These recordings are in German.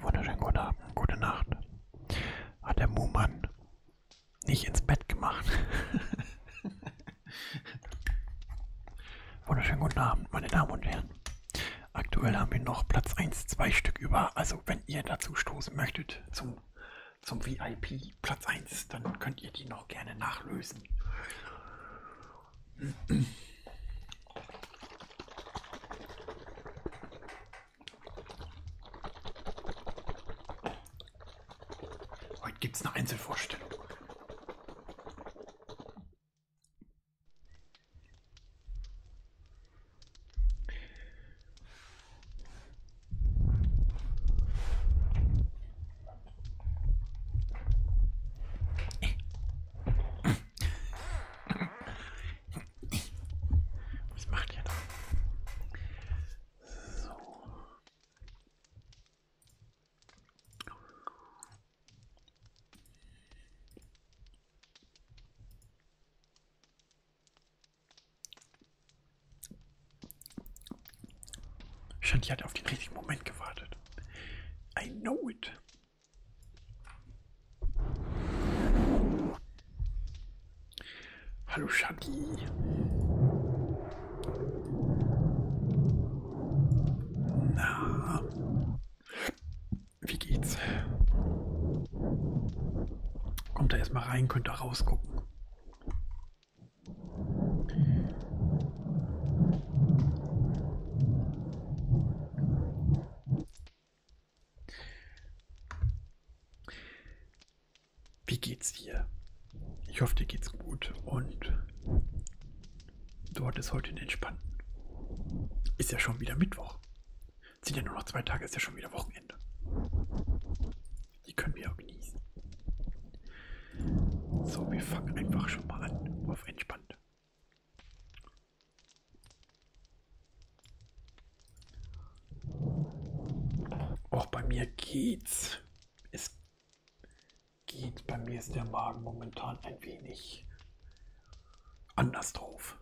Wunderschönen guten Abend, gute Nacht. Hat der Muhmann nicht ins Bett gemacht. Wunderschönen guten Abend, meine Damen und Herren. Aktuell haben wir noch Platz 1, 2 Stück über. Also wenn ihr dazu stoßen möchtet zum, zum VIP Platz 1, dann könnt ihr die noch gerne nachlösen. Heute gibt es eine Einzelvorstellung. Was macht ihr da? So. Shanti hat auf den richtigen Moment gewartet. I know it. Hallo Shaggy. Na, wie geht's? Kommt da erstmal rein, könnt da rausgucken. Wie geht's dir? Ich hoffe, dir geht's gut und du hattest heute einen entspannten. Ist ja schon wieder Mittwoch. Sind ja nur noch zwei Tage, ist ja schon wieder Wochenende. Die können wir auch genießen. So, wir fangen einfach schon mal an auf entspannt. Auch oh, bei mir geht's. Es geht. Bei mir ist der Magen momentan ein wenig anders drauf.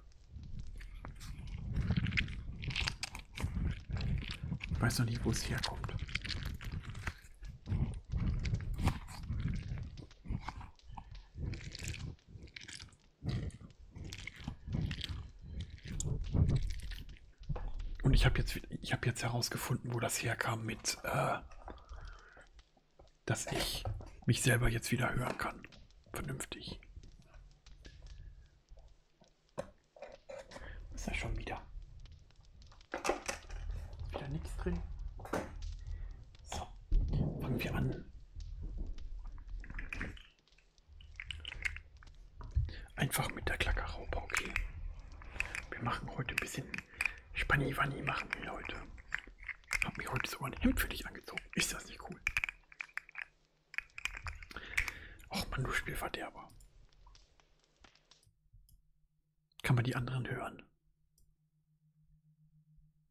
Ich weiß noch nicht, wo es herkommt. Und ich habe jetzt, ich hab jetzt herausgefunden, wo das herkam mit, äh, dass ich mich selber jetzt wieder hören kann. Vernünftig. Was ist ja schon wieder? Ist wieder nichts drin. So, fangen wir an. Einfach mit der Klackerraupe, okay. Wir machen heute ein bisschen Spanni-Wanni machen wir heute. Hab mir heute sogar ein Hemd für dich angezogen. Ist das nicht cool? Och man, du Spielverderber. Kann man die anderen hören?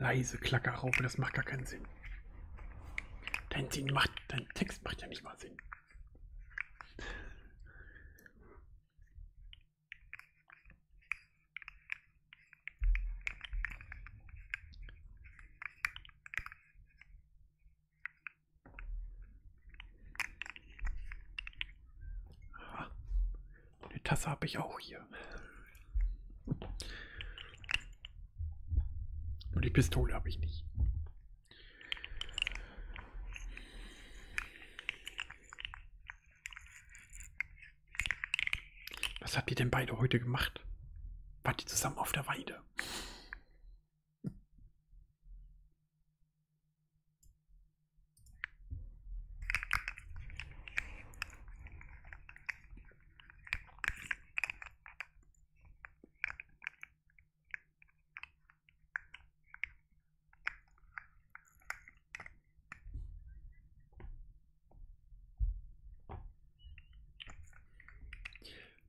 Leise Klackerraupe, das macht gar keinen Sinn. Dein Sinn macht, dein Text macht ja nicht mal Sinn. Eine Tasse habe ich auch hier. Nur die Pistole habe ich nicht. Was habt ihr denn beide heute gemacht? Wart ihr zusammen auf der Weide?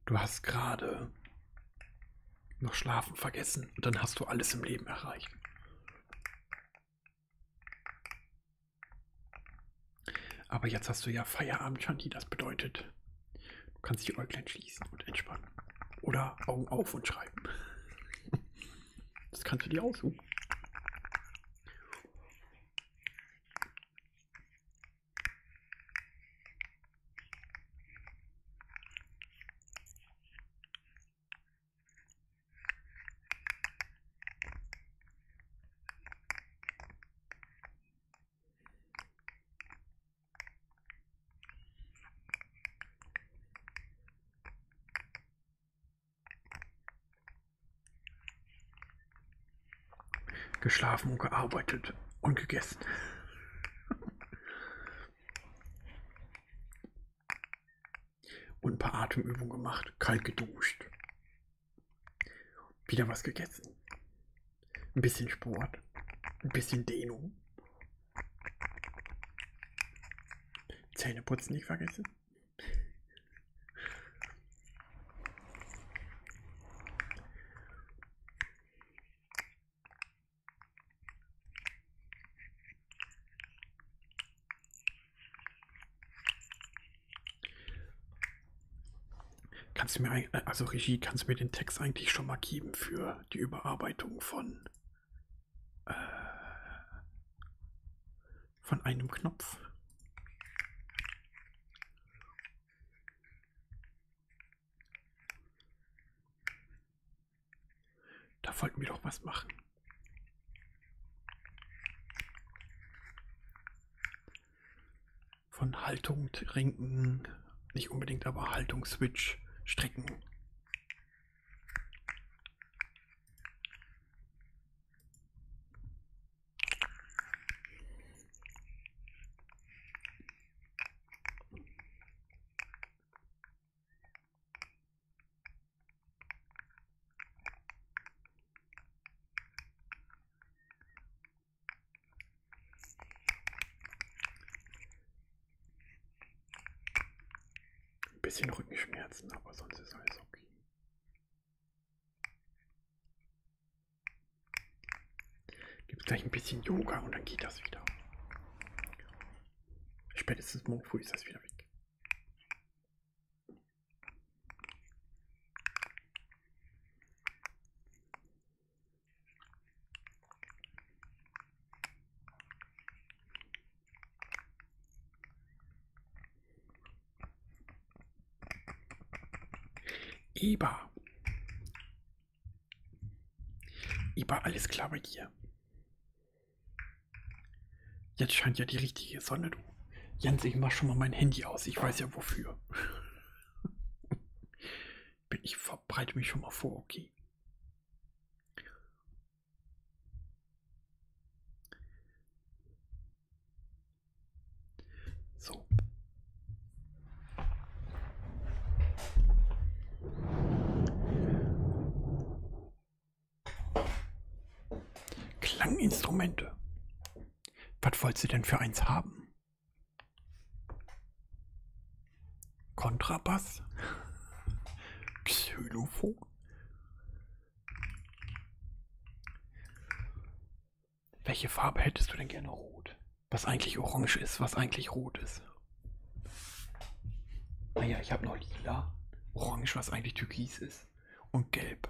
Du hast gerade noch schlafen vergessen und dann hast du alles im Leben erreicht. Aber jetzt hast du ja Feierabend, Shanti, das bedeutet, du kannst die Äuglein schließen und entspannen. Oder Augen auf und schreiben. Das kannst du dir aussuchen. Geschlafen und gearbeitet und gegessen. Und ein paar Atemübungen gemacht, kalt geduscht. Wieder was gegessen. Ein bisschen Sport. Ein bisschen Dehnung. Zähneputzen nicht vergessen. Kannst du mir, äh, also Regie, kannst du mir den Text eigentlich schon mal geben für die Überarbeitung von, äh, von einem Knopf? Da wollten wir doch was machen. Von Haltung trinken, nicht unbedingt, aber Haltung Switch strecken. Ein bisschen Rückenschmerzen, aber sonst ist alles okay. Gibt es gleich ein bisschen Yoga und dann geht das wieder. Spätestens morgen früh ist das wieder weg. Eber. Eber, alles klar bei dir. Jetzt scheint ja die richtige Sonne, du. Jens, ich mach schon mal mein Handy aus. Ich weiß ja wofür. Ich verbreite mich schon mal vor, okay. So. Klanginstrumente. Was wollt ihr denn für eins haben? Kontrabass? Xylophon? Welche Farbe hättest du denn gerne rot? Was eigentlich orange ist, was eigentlich rot ist. Naja, ah ich habe noch lila. Orange, was eigentlich türkis ist. Weiß und Gelb.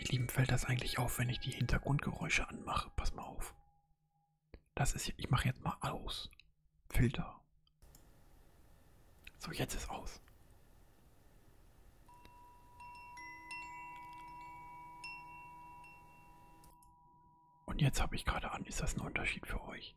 Ihr Lieben, fällt das eigentlich auf, wenn ich die Hintergrundgeräusche anmache? Pass mal auf. Das ist, ich mache jetzt mal aus. Filter. So, jetzt ist aus. Und jetzt habe ich gerade an, ist das ein Unterschied für euch?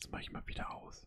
Jetzt mache ich mal wieder aus.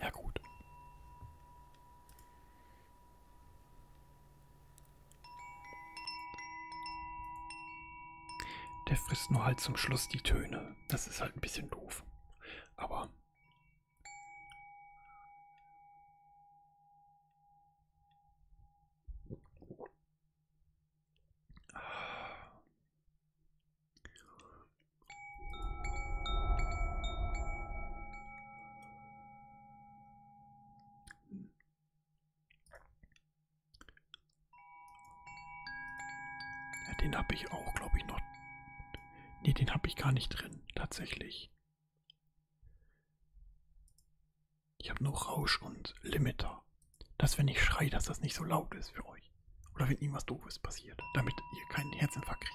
Ja gut. Der frisst nur halt zum Schluss die Töne. Das ist halt ein bisschen doof. Aber... Ja, den habe ich auch, glaube ich, noch. Ne, den habe ich gar nicht drin, tatsächlich. Ich habe nur Rausch und Limiter dass wenn ich schrei, dass das nicht so laut ist für euch. Oder wenn irgendwas Doofes passiert, damit ihr keinen Herzinfarkt kriegt.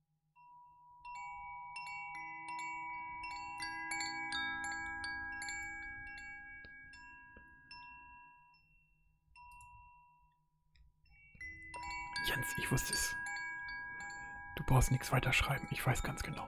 Jens, ich wusste es. Du brauchst nichts weiter schreiben, ich weiß ganz genau.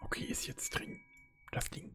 Okay, ist jetzt drin. Das Ding.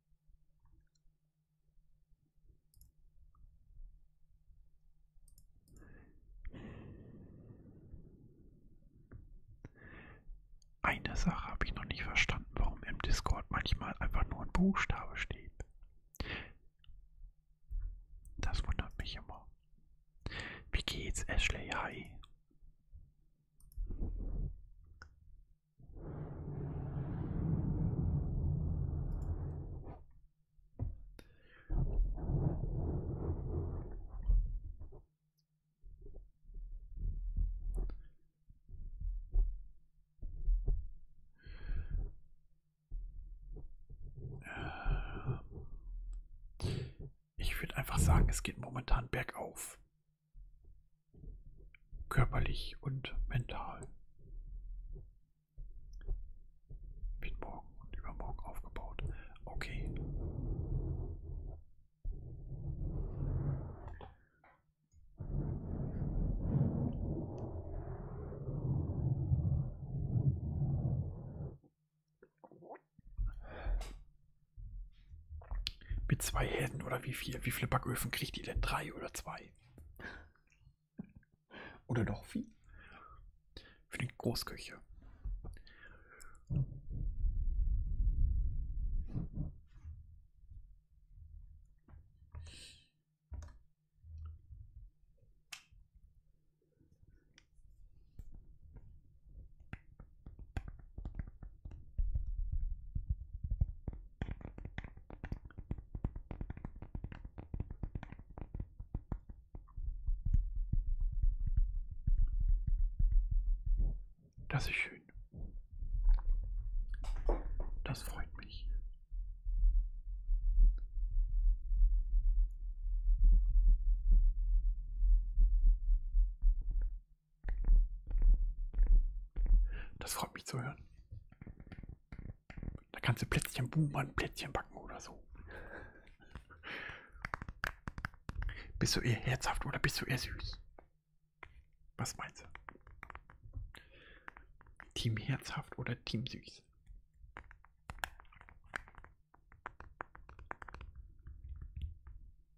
Eine Sache habe ich noch nicht verstanden, warum im Discord manchmal einfach nur ein Buchstabe steht. Das wundert mich immer. Wie geht's, Ashley? Hi. Ich würde einfach sagen, es geht momentan bergauf körperlich und mental. Wird morgen und übermorgen aufgebaut. Okay. Mit zwei Herden oder wie viel? Wie viele Backöfen kriegt ihr denn? Drei oder zwei? Oder doch viel? Für die Großküche. Das ist schön. Das freut mich. Das freut mich zu hören. Da kannst du Plätzchen bummern, Plätzchen backen oder so. Bist du eher herzhaft oder bist du eher süß? Was meinst du? Team herzhaft oder Team süß?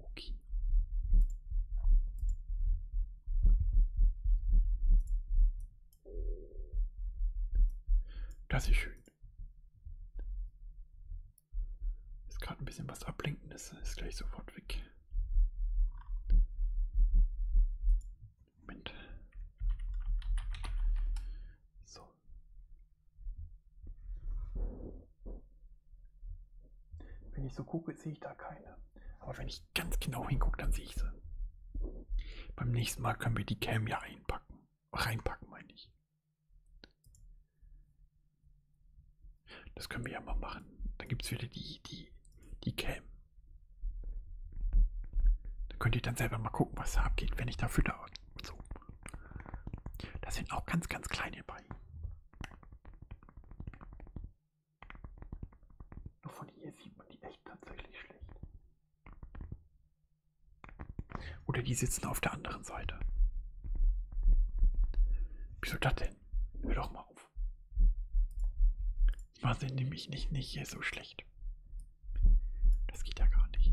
Okay. Das ist schön. Ist gerade ein bisschen was Ablenkendes, ist gleich sofort weg. Moment. So. Wenn ich so gucke, sehe ich da keine. Aber wenn ich ganz genau hingucke, dann sehe ich sie. Beim nächsten Mal können wir die Cam ja einpacken. Reinpacken, meine ich. Das können wir ja mal machen. Dann gibt es wieder die, die, die Cam. Da könnt ihr dann selber mal gucken, was da abgeht, wenn ich da fütter und so. Das sind auch ganz, ganz kleine bei. Nur von hier sieht man die echt tatsächlich schlecht. Oder die sitzen auf der anderen Seite. Wieso das denn? Hör doch mal auf auf. War sie nämlich nicht, nicht so schlecht. Das geht ja gar nicht.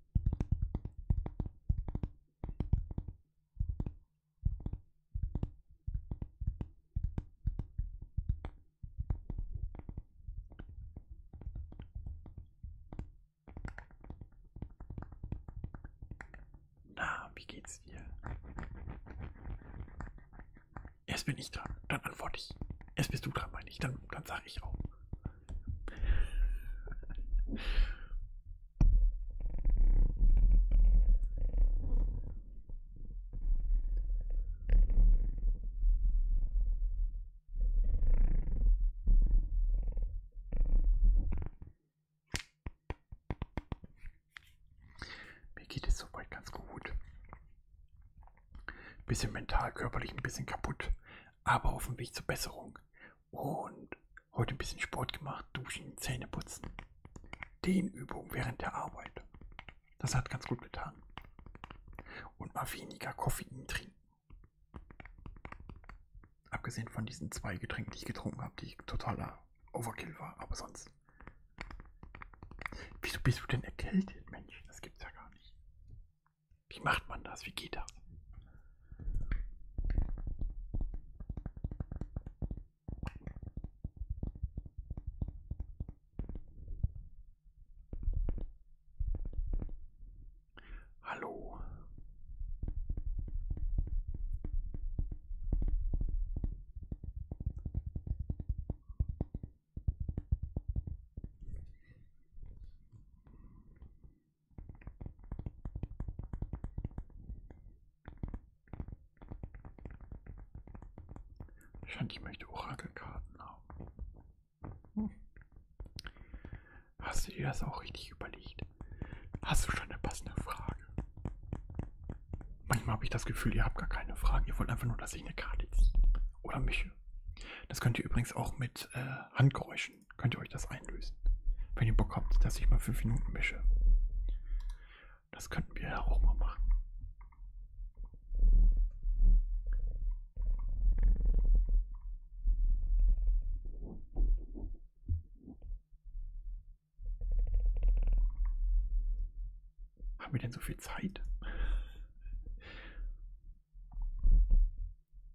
Na, wie geht's dir? Erst bin ich dran, dann antworte ich. Erst bist du dran, meine ich, dann, dann sage ich auch. Mir geht es soweit ganz gut. Bisschen mental, körperlich ein bisschen kaputt, aber auf dem Weg zur Besserung. Und heute ein bisschen Sport gemacht, duschen, Zähne putzen. Dehnübung während der Arbeit. Das hat ganz gut getan. Und mal weniger Koffein trinken. Abgesehen von diesen zwei Getränken, die ich getrunken habe, die totaler Overkill war, aber sonst. Wieso bist du denn erkältet, Mensch? Das gibt's ja gar nicht. Wie macht man das? Wie geht das? Hallo. Ich fand, ich möchte Orakelkarten haben. Hm. Hast du dir das auch richtig überlegt? Hast du schon eine passende Frage? Manchmal habe ich das Gefühl, ihr habt gar keine Fragen. Ihr wollt einfach nur, dass ich eine Karte ziehe. Oder mische. Das könnt ihr übrigens auch mit äh, Handgeräuschen waschen. Könnt ihr euch das einlösen? Wenn ihr Bock habt, dass ich mal fünf Minuten mische. Das könnten wir ja auch mal machen. Haben wir denn so viel Zeit?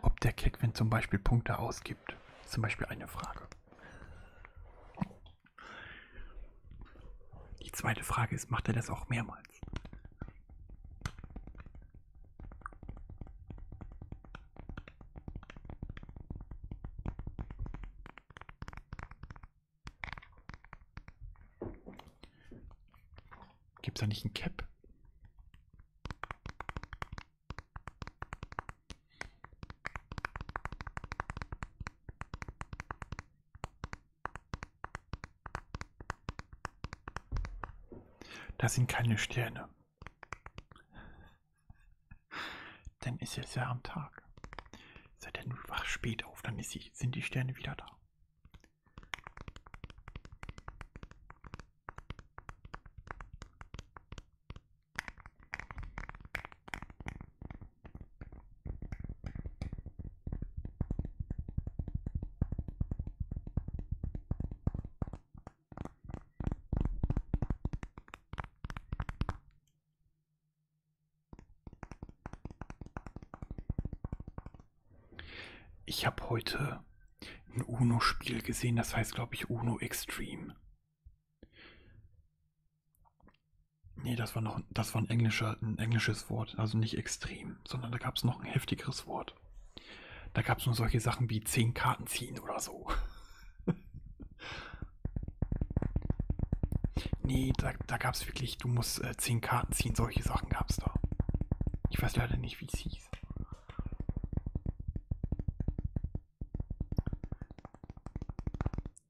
Ob der Kick, wenn zum Beispiel Punkte ausgeht, gibt. Zum Beispiel eine Frage. Die zweite Frage ist, macht er das auch mehrmals? Gibt es da nicht ein Cap? Das sind keine Sterne. Denn ist es ja am Tag. Sei denn, du wach spät auf, dann die, sind die Sterne wieder da. Ich habe heute ein UNO-Spiel gesehen, das heißt, glaube ich, UNO Extreme. Nee, das war noch das war ein, englischer, ein englisches Wort, also nicht extrem, sondern da gab es noch ein heftigeres Wort. Da gab es nur solche Sachen wie 10 Karten ziehen oder so. nee, da, da gab es wirklich, du musst äh, 10 Karten ziehen, solche Sachen gab es da. Ich weiß leider nicht, wie es hieß.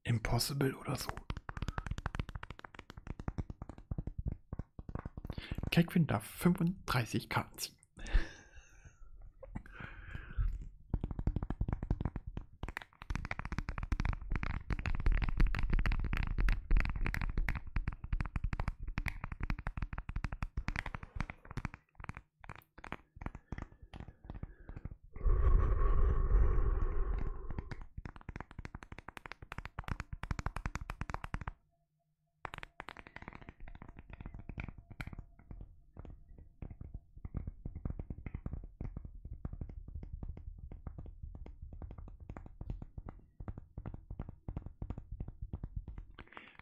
Impossible oder so. Kekwin darf 35 Karten ziehen.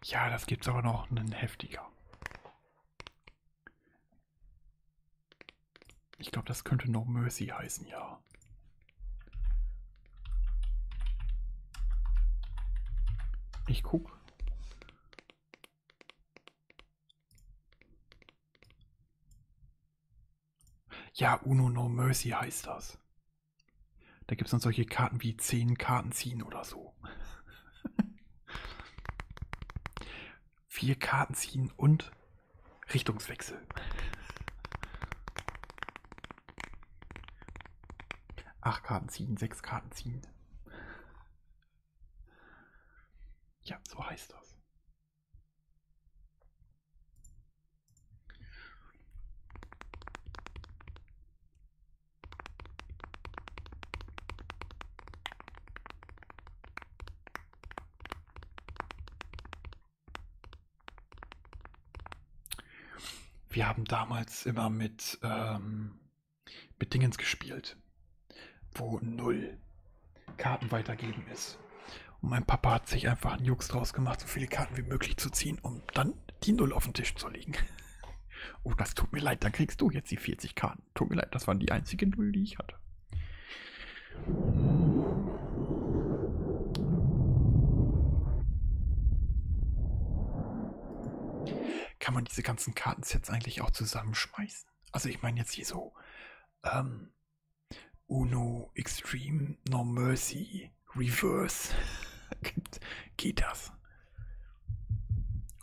Ja, das gibt's aber noch einen heftiger. Ich glaube, das könnte No Mercy heißen, ja. Ich guck. Ja, Uno No Mercy heißt das. Da gibt es dann solche Karten wie 10 Karten ziehen oder so vier Karten ziehen und Richtungswechsel. Acht Karten ziehen, sechs Karten ziehen. Ja, so heißt das. Wir haben damals immer mit, ähm, mit Dingens gespielt, wo null Karten weitergeben ist. Und mein Papa hat sich einfach einen Jux draus gemacht, so viele Karten wie möglich zu ziehen, um dann die Null auf den Tisch zu legen. oh, das tut mir leid, dann kriegst du jetzt die 40 Karten waren. Tut mir leid, das waren die einzigen Null, die ich hatte. Kann man diese ganzen Kartensets eigentlich auch zusammenschmeißen? Also ich meine jetzt hier so ähm, Uno, Extreme, No Mercy, Reverse. Geht das?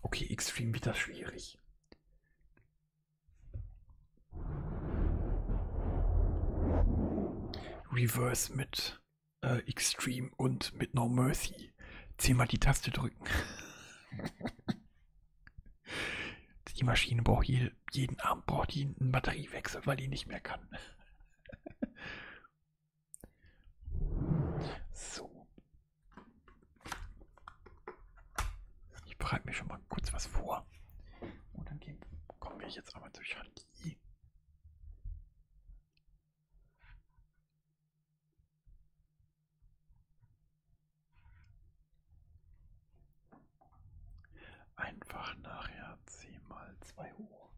Okay, Extreme wird das schwierig. Reverse mit äh, Extreme und mit No Mercy. Zehnmal die Taste drücken. die Maschine braucht je, jeden Abend braucht die einen Batteriewechsel, weil die nicht mehr kann. so. Ich bereite mir schon mal kurz was vor. Und dann gehen, kommen wir jetzt aber zu Charlie. Einfach nachher 10 mal 2 hoch.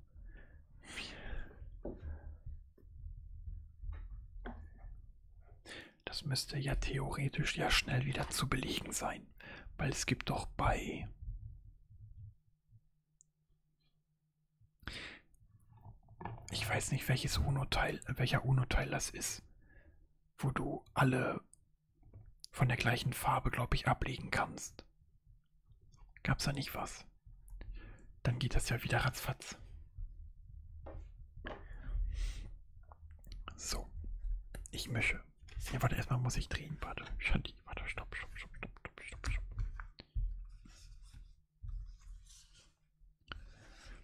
Das müsste ja theoretisch ja schnell wieder zu belegen sein, weil es gibt doch bei ich weiß nicht, welches UNO-Teil, welcher UNO-Teil das ist, wo du alle von der gleichen Farbe, glaube ich, ablegen kannst. Gab's da nicht was? Dann geht das ja wieder ratzfatz. So, ich mische. Ja, warte, erstmal muss ich drehen. Warte, Shanti, warte, stopp, stopp, stopp, stopp, stopp, stopp, stopp.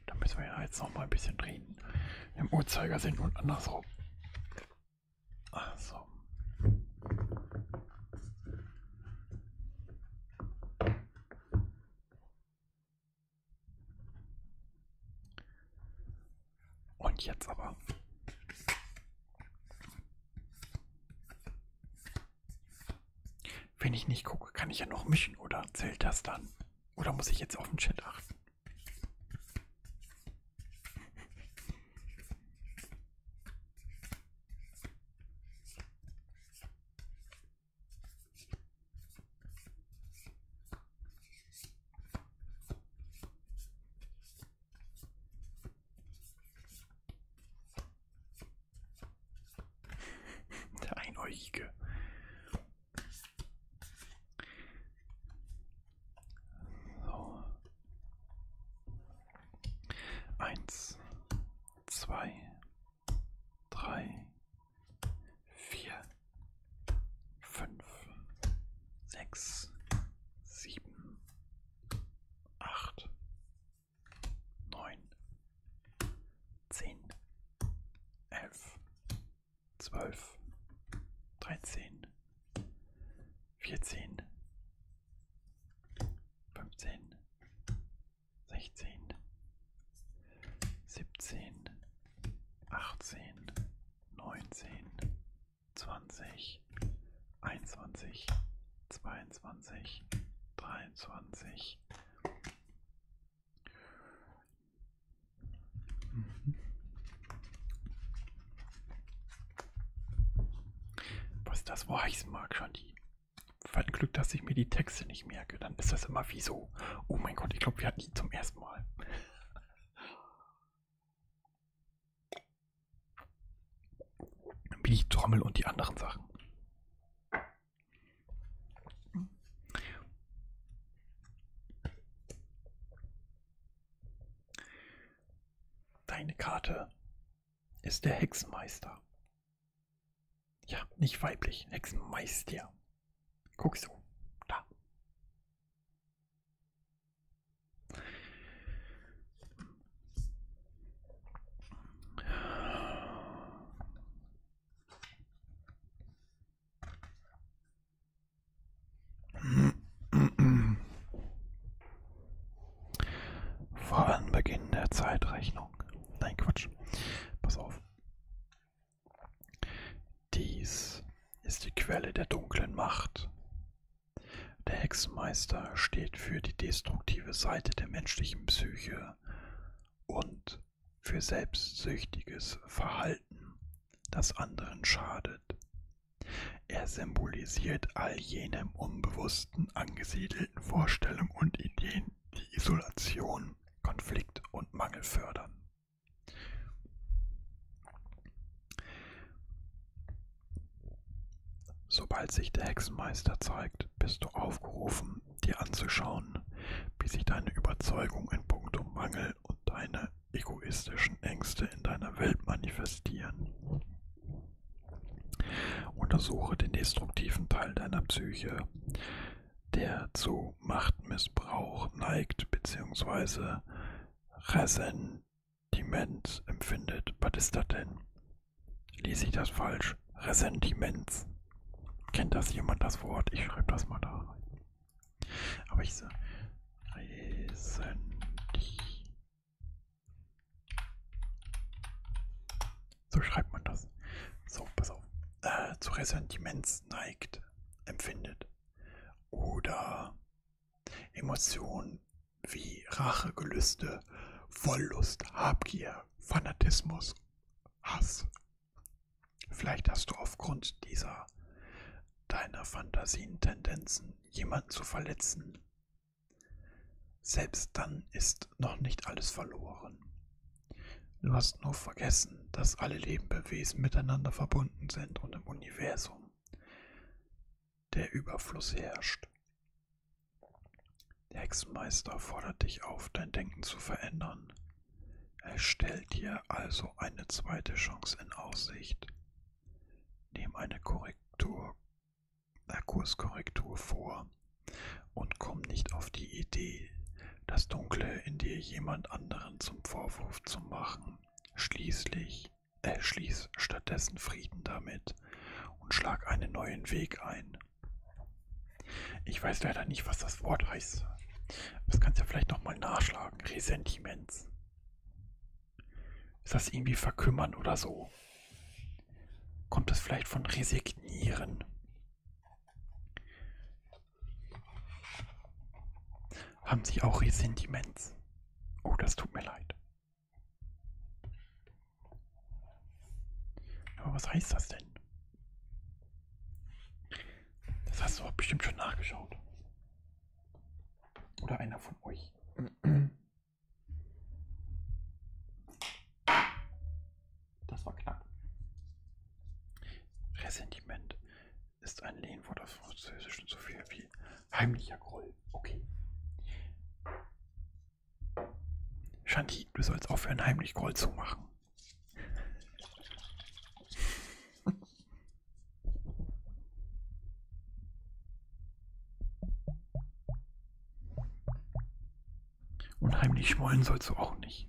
Da müssen wir ja jetzt noch mal ein bisschen drehen. Im Uhrzeigersinn und andersrum. Ach so. Und jetzt aber. Wenn ich nicht gucke, kann ich ja noch mischen oder zählt das dann? Oder muss ich jetzt auf den Chat achten? Der Einäugige. So. Eins, zwei, drei, vier, fünf, sechs, sieben, acht, neun, zehn, elf, zwölf, dreizehn, vierzehn, fünfzehn, sechzehn, siebzehn, achtzehn, neunzehn, zwanzig, einundzwanzig, zweiundzwanzig, dreiundzwanzig. Mhm. Was das weiß, mag schon die. Ein Glück, dass ich mir die Texte nicht merke. Dann ist das immer wie so. Oh mein Gott, ich glaube, wir hatten die zum ersten erstmal. Wie die Trommel und die anderen Sachen. Deine Karte ist der Hexenmeister. Ja, nicht weiblich, Hexenmeister. Guck so. Da. Vor Anbeginn der Zeitrechnung. Nein, Quatsch. Pass auf. Dies ist die Quelle der dunklen Macht. Der Hexenmeister steht für die destruktive Seite der menschlichen Psyche und für selbstsüchtiges Verhalten, das anderen schadet. Er symbolisiert all jene im Unbewussten angesiedelten Vorstellungen und Ideen, die Isolation, Konflikt und Mangel fördern. Sobald sich der Hexenmeister zeigt, bist du aufgerufen, dir anzuschauen, wie sich deine Überzeugung in puncto Mangel und deine egoistischen Ängste in deiner Welt manifestieren. Untersuche den destruktiven Teil deiner Psyche, der zu Machtmissbrauch neigt bzw. Ressentiment empfindet. Was ist das denn? Lese ich das falsch? Ressentiments. Kennt das jemand das Wort? Ich schreibe das mal da rein. Aber ich sage Ressentiment. So schreibt man das. So, pass auf. Äh, zu Ressentiments neigt empfindet. Oder Emotionen wie Rache, Gelüste, Wollust, Habgier, Fanatismus, Hass. Vielleicht hast du aufgrund dieser deiner Fantasien Tendenzen, jemanden zu verletzen. Selbst dann ist noch nicht alles verloren. Du hast nur vergessen, dass alle lebenden Wesen miteinander verbunden sind und im Universum der Überfluss herrscht. Der Hexenmeister fordert dich auf, dein Denken zu verändern. Er stellt dir also eine zweite Chance in Aussicht. Nimm eine Korrektur, eine Kurskorrektur vor und komm nicht auf die Idee, das Dunkle in dir jemand anderen zum Vorwurf zu machen. Schließlich, äh, schließ stattdessen Frieden damit und schlag einen neuen Weg ein. Ich weiß leider nicht, was das Wort heißt. Das kannst du ja vielleicht nochmal nachschlagen. Ressentiments. Ist das irgendwie verkümmern oder so? Kommt es vielleicht von resignieren? Haben Sie auch Ressentiments? Oh, das tut mir leid. Aber was heißt das denn? Das hast du auch bestimmt schon nachgeschaut. Oder einer von euch. Das war knapp. Ressentiment ist ein Lehnwort aus Französischen so viel wie heimlicher Groll. Okay. Shanti, du sollst aufhören, heimlich Groll zu machen. Und heimlich schmollen sollst du auch nicht.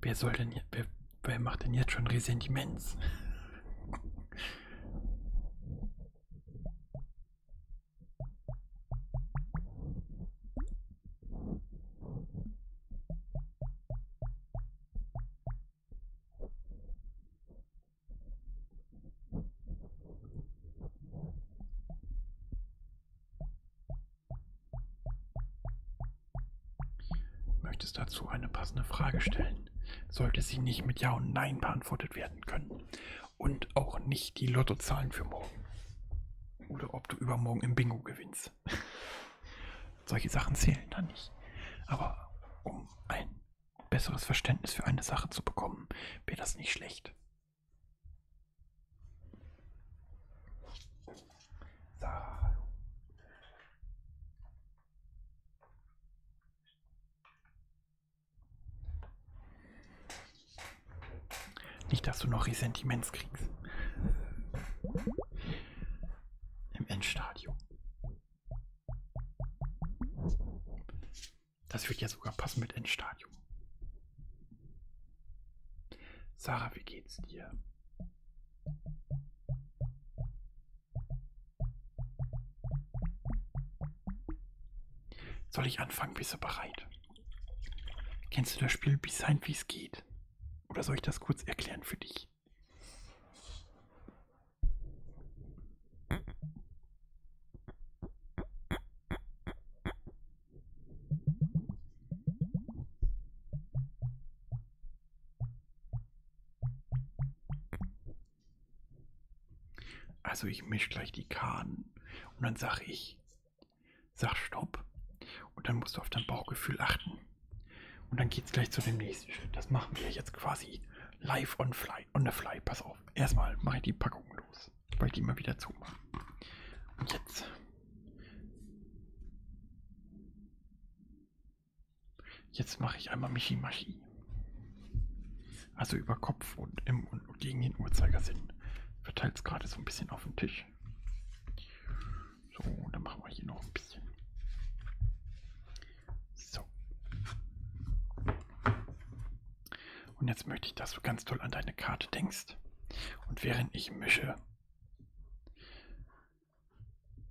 Wer soll denn, wer, wer macht denn jetzt schon Ressentiments? Möchtest dazu eine passende Frage stellen? Sollte sie nicht mit Ja und Nein beantwortet werden können und auch nicht die Lottozahlen für morgen oder ob du übermorgen im Bingo gewinnst. Solche Sachen zählen dann nicht. Aber um ein besseres Verständnis für eine Sache zu bekommen, wäre das nicht schlecht. Sarah, hallo. Nicht, dass du noch Ressentiments kriegst. Im Endstadium. Das würde ja sogar passen mit Endstadium. Sarah, wie geht's dir? Soll ich anfangen? Bist du bereit? Kennst du das Spiel Behind, wie es geht? Oder soll ich das kurz erklären für dich? Also ich mische gleich die Karten und dann sag ich, sag Stopp und dann musst du auf dein Bauchgefühl achten. Und dann geht's gleich zu dem nächsten Schritt. Das machen wir jetzt quasi live on fly, on the fly. Pass auf. Erstmal mache ich die Packung los das. Weil die mal wieder zumachen. Und jetzt. Jetzt mache ich einmal Michi-Maschi. Also über Kopf und im und gegen den Uhrzeigersinn. Verteilt es gerade so ein bisschen auf den Tisch. So, dann machen wir hier noch ein bisschen. So. Und jetzt möchte ich, dass du ganz toll an deine Karte denkst. Und während ich mische,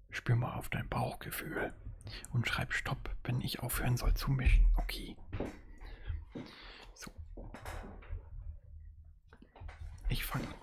spür mal auf dein Bauchgefühl und schreib Stopp, wenn ich aufhören soll zu mischen. Okay. So. Ich fange an.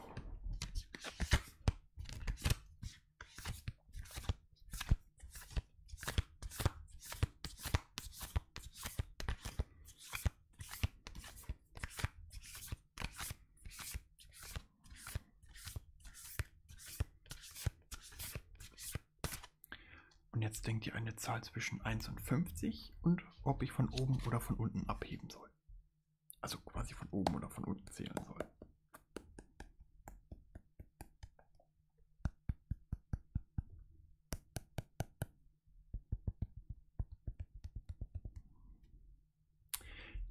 Und jetzt denkt ihr eine Zahl zwischen 1 und 50 und ob ich von oben oder von unten abheben soll. Also quasi von oben oder von unten zählen soll.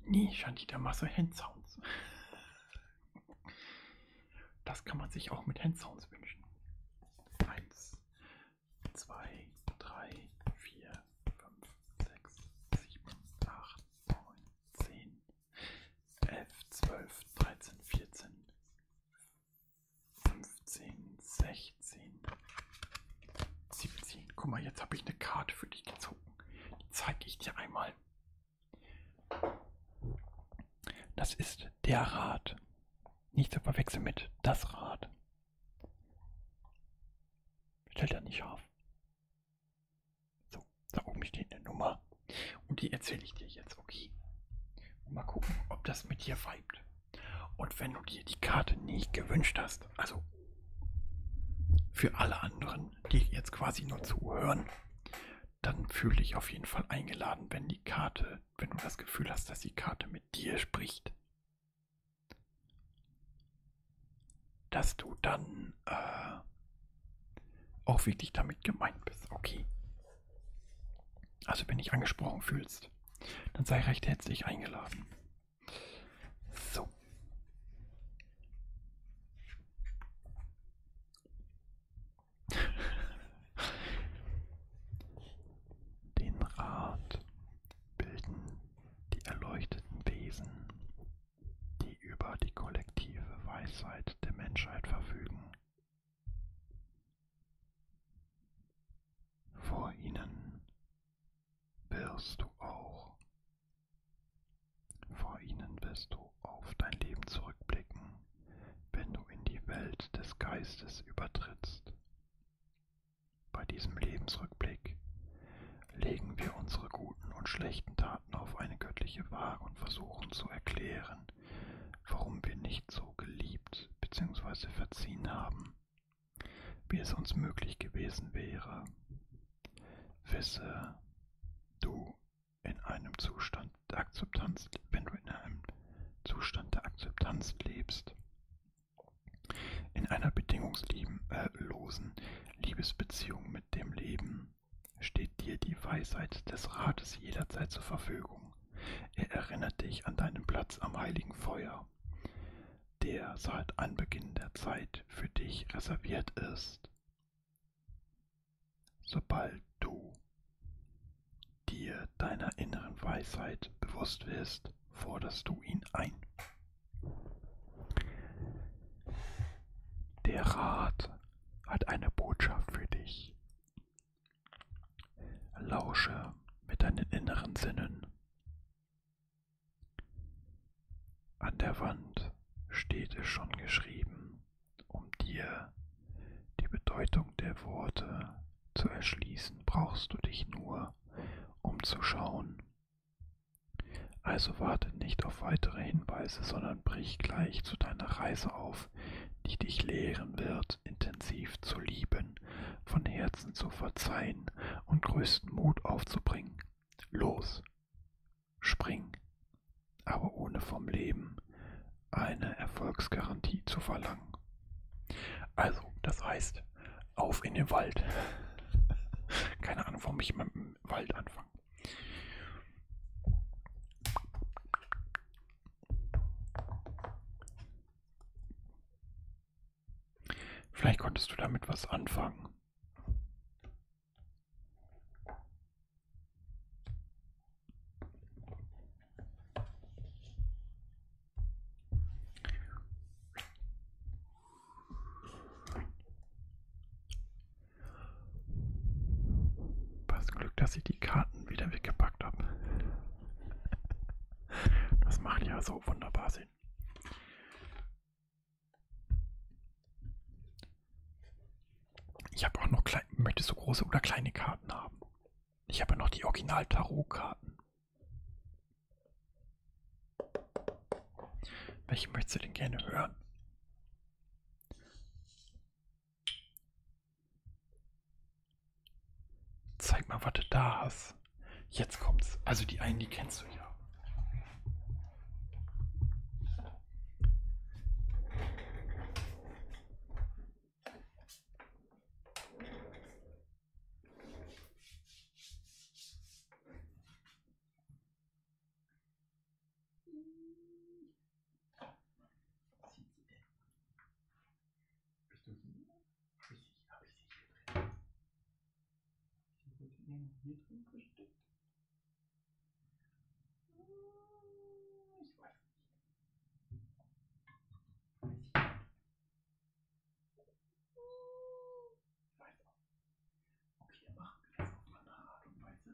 Nee, Shantita, mach so Handsounds. Das kann man sich auch mit Handsounds wünschen. Eins, zwei, drei, vier, fünf, sechs, sieben, acht, neun, zehn, elf, zwölf, dreizehn, vierzehn, 15, 16, 17. Guck mal, jetzt habe ich eine Karte für dich gezogen. Die zeige ich dir einmal. Das ist der Rat. Nicht zu verwechseln mit das Rad. Stellt er nicht scharf. So, da oben steht eine Nummer. Und die erzähle ich dir jetzt, okay? Und mal gucken, ob das mit dir weibt. Und wenn du dir die Karte nicht gewünscht hast, also für alle anderen, die jetzt quasi nur zuhören, dann fühle dich auf jeden Fall eingeladen, wenn die Karte, wenn du das Gefühl hast, dass die Karte mit dir spricht, dass du dann äh, auch wirklich damit gemeint bist. Okay. Also wenn dich angesprochen fühlst, dann sei recht herzlich eingeladen. So. Den Rat bilden die erleuchteten Wesen, die über die kollektive Weisheit der Menschheit verfügen vor ihnen wirst du auch. Vor ihnen wirst du auf dein Leben zurückblicken, wenn du in die Welt des Geistes übertrittst. Bei diesem Lebensrückblick legen wir unsere guten und schlechten Taten auf eine göttliche Waage und versuchen zu erklären, warum wir nicht so geliebt bzw. verziehen haben, wie es uns möglich gewesen wäre. Wisse, du in einem Zustand der Akzeptanz, wenn du in einem Zustand der Akzeptanz lebst, in einer bedingungslosen Liebesbeziehung mit dem Leben, steht dir die Weisheit des Rates jederzeit zur Verfügung. Augen. Er erinnert dich an deinen Platz am heiligen Feuer, der seit Anbeginn der Zeit für dich reserviert ist. Sobald du dir deiner inneren Weisheit bewusst wirst, forderst du ihn ein. Der Rat hat eine Botschaft für dich. Lausche mit deinen inneren Sinnen. An der Wand steht es schon geschrieben, um dir die Bedeutung der Worte zu erschließen, brauchst du dich nur umzuschauen. Also warte nicht auf weitere Hinweise, sondern brich gleich zu deiner Reise auf, die dich lehren wird. Gott intensiv zu lieben, von Herzen zu verzeihen und größten Mut aufzubringen. Los, spring, aber ohne vom Leben eine Erfolgsgarantie zu verlangen. Also, das heißt, auf in den Wald. Keine Ahnung, warum ich immer mit dem Wald anfange. Vielleicht konntest du damit was anfangen. Was Glück, dass ich die Karten wieder weggepackt habe. Das macht ja so wunderbar Sinn. Ich habe auch noch klein. Möchtest du große oder kleine Karten haben? Ich habe ja noch die Original-Tarot-Karten. Welche möchtest du denn gerne hören? Zeig mal, was du da hast. Jetzt kommt's. Also die einen, die kennst du ja. Habe ich, die, hab ich die hier drin? Habe ich die Proteine hier drin versteckt? Hm, ich weiß nicht. Ich weiß auch. Okay, machen wir das auf eine Art und Weise.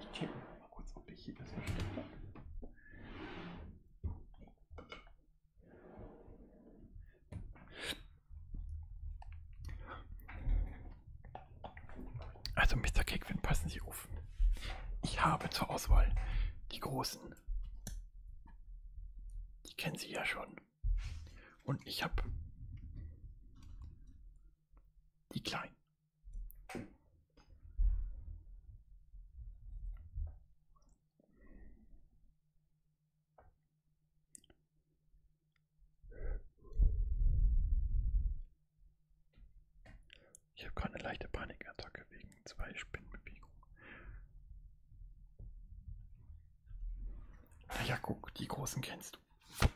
Ich checke mal kurz, ob ich hier das versteckt habe. Also Mr. Kickwin, passen Sie auf. Ich habe zur Auswahl die großen. Die kennen Sie ja schon. Und ich habe die kleinen. Ich habe gerade eine leichte Panikattacke wegen zwei Spinnenbewegungen. Na ja, guck, die großen kennst du.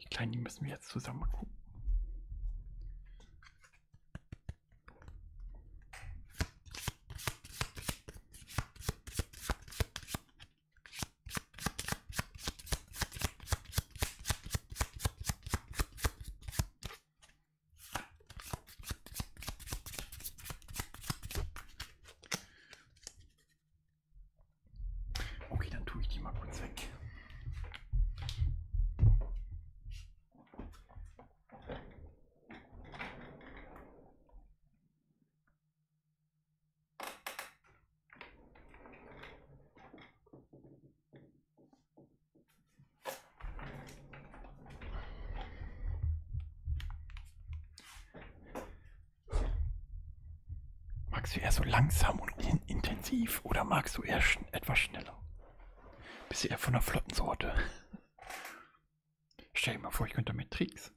Die Kleinen die müssen wir jetzt zusammen gucken. Okay, dann tue ich die mal kurz weg. Magst du eher so langsam und intensiv oder magst du eher schn etwas schneller? Bist du eher von der flotten Sorte? Stell dir mal vor, ich könnte mit Tricks.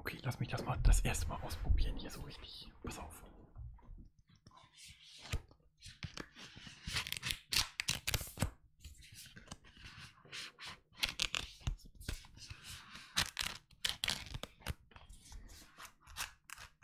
Okay, lass mich das mal das erste Mal ausprobieren hier so richtig. Pass auf.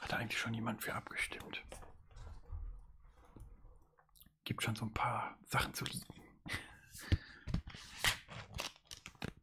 Hat eigentlich schon jemand für abgestimmt? Gibt schon so ein paar Sachen zu lieben.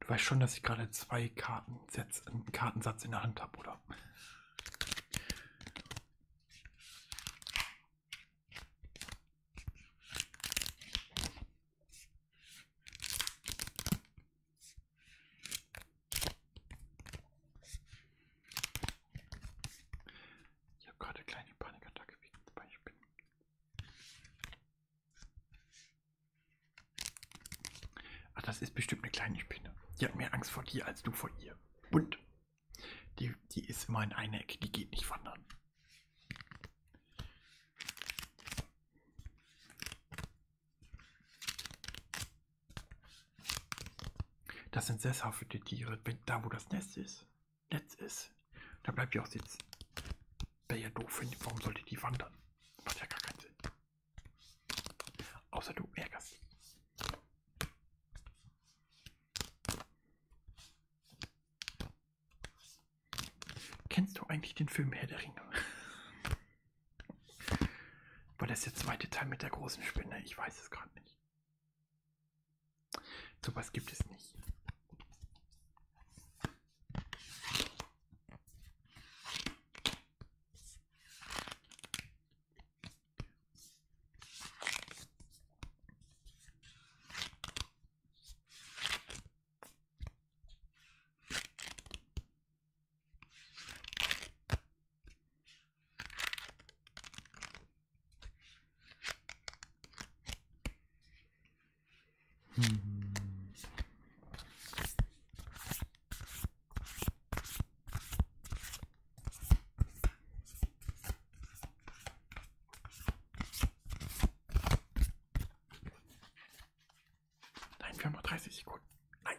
Du weißt schon, dass ich gerade zwei Kartensets, einen Kartensatz in der Hand habe, oder? Ich habe gerade eine kleine Panikattacke wegen zwei Spinnen. Ach, das ist bestimmt eine kleine Spinne. Die hat mehr Angst vor dir als du vor ihr. Und die, die ist immer in einer Ecke, die geht nicht wandern. Das sind sesshafte Tiere. Da, wo das Nest ist, Netz ist, da bleibt ihr auch sitzen. Wäre ja doof, wenn, warum sollte die wandern? Macht ja gar keinen Sinn. Außer du ärgerst. Kennst du eigentlich den Film Herr der Ringe? War das der zweite Teil mit der großen Spinne? Ich weiß es gerade nicht. Sowas gibt es nicht. Hm. Nein, wir haben noch 30 Sekunden. Nein.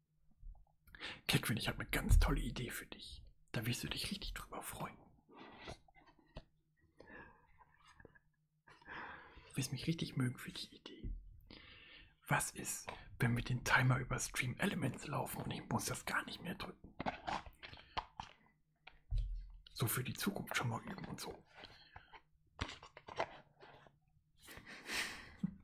Catherine, ich habe eine ganz tolle Idee für dich. Da wirst du dich richtig drüber freuen. Du wirst mich richtig mögen für die Idee. Was ist, wenn wir den Timer über Stream Elements laufen und ich muss das gar nicht mehr drücken? So für die Zukunft schon mal üben und so.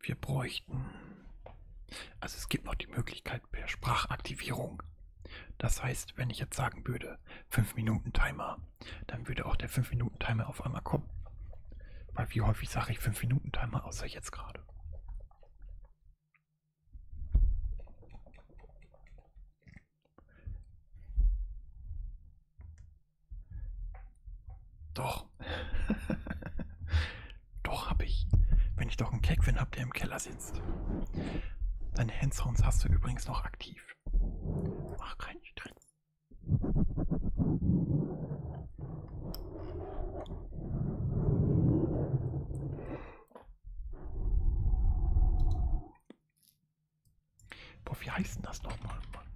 Wir bräuchten. Also es gibt noch die Möglichkeit per Sprachaktivierung. Das heißt, wenn ich jetzt sagen würde, 5 Minuten Timer, dann würde auch der 5 Minuten Timer auf einmal kommen. Weil wie häufig sage ich 5 Minuten Timer, außer jetzt gerade. Doch. doch hab ich. Wenn ich doch einen Kekfin hab, der im Keller sitzt. Deine Handshounds hast du übrigens noch aktiv. Mach keinen Stress. Boah, wie heißt denn das nochmal, Mann?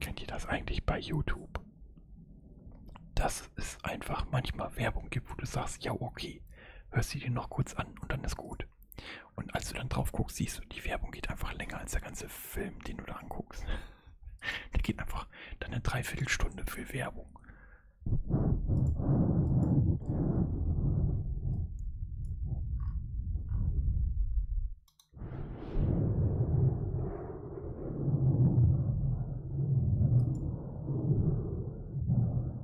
Kennt ihr das eigentlich bei YouTube? Dass es einfach manchmal Werbung gibt, wo du sagst, ja okay, hörst du dir noch kurz an und dann ist gut. Und als du dann drauf guckst, siehst du, die Werbung geht einfach länger als der ganze Film, den du da anguckst. Der geht einfach dann eine Dreiviertelstunde für Werbung.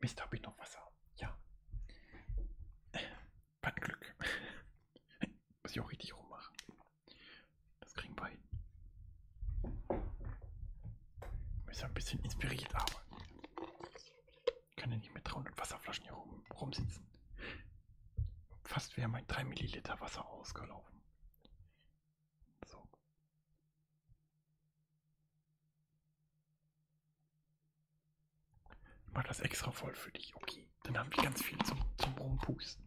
Mist, habe ich noch Wasser? Ja. Was Glück. Muss ich auch richtig rummachen. Das kriegen wir hin. Ist ja ein bisschen inspiriert, aber kann ja nicht mit 300 Wasserflaschen hier rum, rumsitzen. Fast wäre mein 3 Milliliter Wasser ausgelaufen. So. Ich mache das extra voll für dich. Okay, dann haben wir ganz viel zum, zum Rumpusten.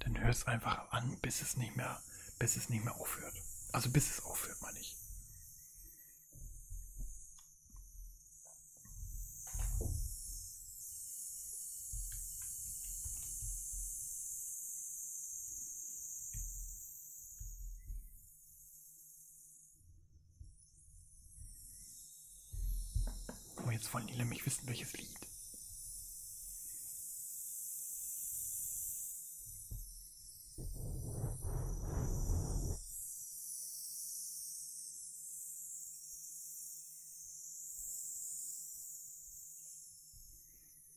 Dann hör es einfach an, bis es nicht mehr, bis es nicht mehr aufhört. Also bis es aufhört, meine ich. Oh, jetzt wollen die nämlich wissen, welches Lied.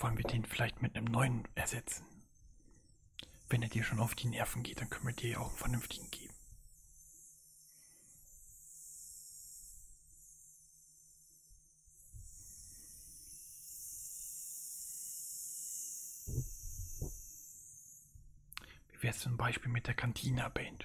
Wollen wir den vielleicht mit einem neuen ersetzen? Wenn er dir schon auf die Nerven geht, dann können wir dir ja auch einen vernünftigen geben. Wie wär's zum Beispiel mit der Cantina-Band?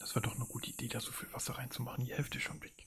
Das war doch eine gute Idee, da so viel Wasser reinzumachen. Die Hälfte schon weg.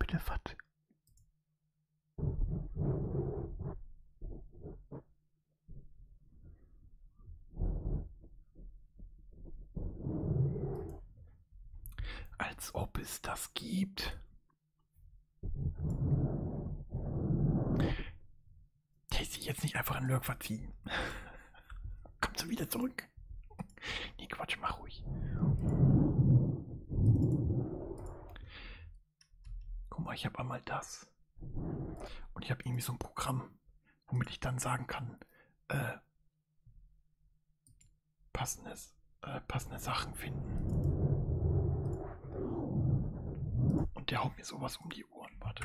Bitte was? Als ob es das gibt. Tasty jetzt nicht einfach in Lurk verziehen. Kommst du wieder zurück? Nee, Quatsch, mach ruhig. Guck mal, ich habe einmal das. Und ich habe irgendwie so ein Programm, womit ich dann sagen kann, äh, passendes, äh, passende Sachen finden. Und der haut mir sowas um die Ohren. Warte.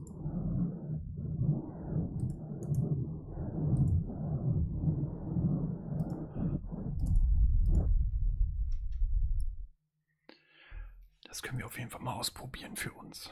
Das können wir auf jeden Fall mal ausprobieren für uns.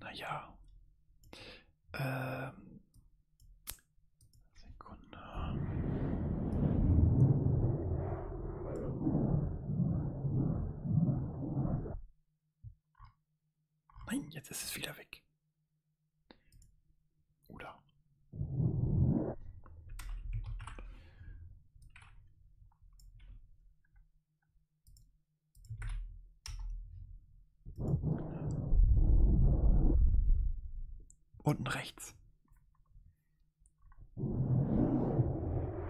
Naja. Ähm. Sekunde. Nein, jetzt ist es wieder weg. Oder? Unten rechts.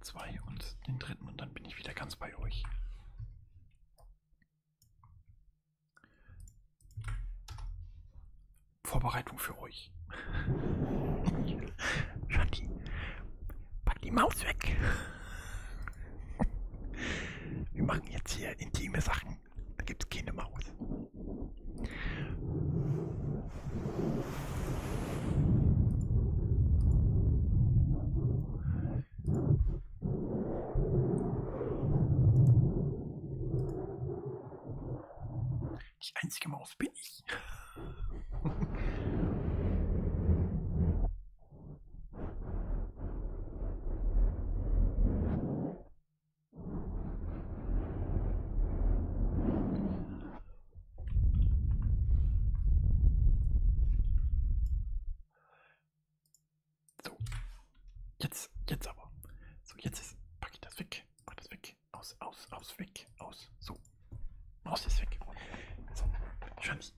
zwei und den dritten und dann bin ich wieder ganz bei euch. Vorbereitung für euch. Shanti, pack die Maus weg. Wir machen jetzt hier intime Sachen. Da gibt es keine Maus. Die einzige Maus bin ich. So, jetzt, jetzt aber. So, jetzt ist, packe ich das weg, pack das weg, aus, aus, aus, weg, aus, so. Maus ist weg. So, Schanti.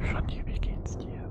Schanti, wie geht's dir?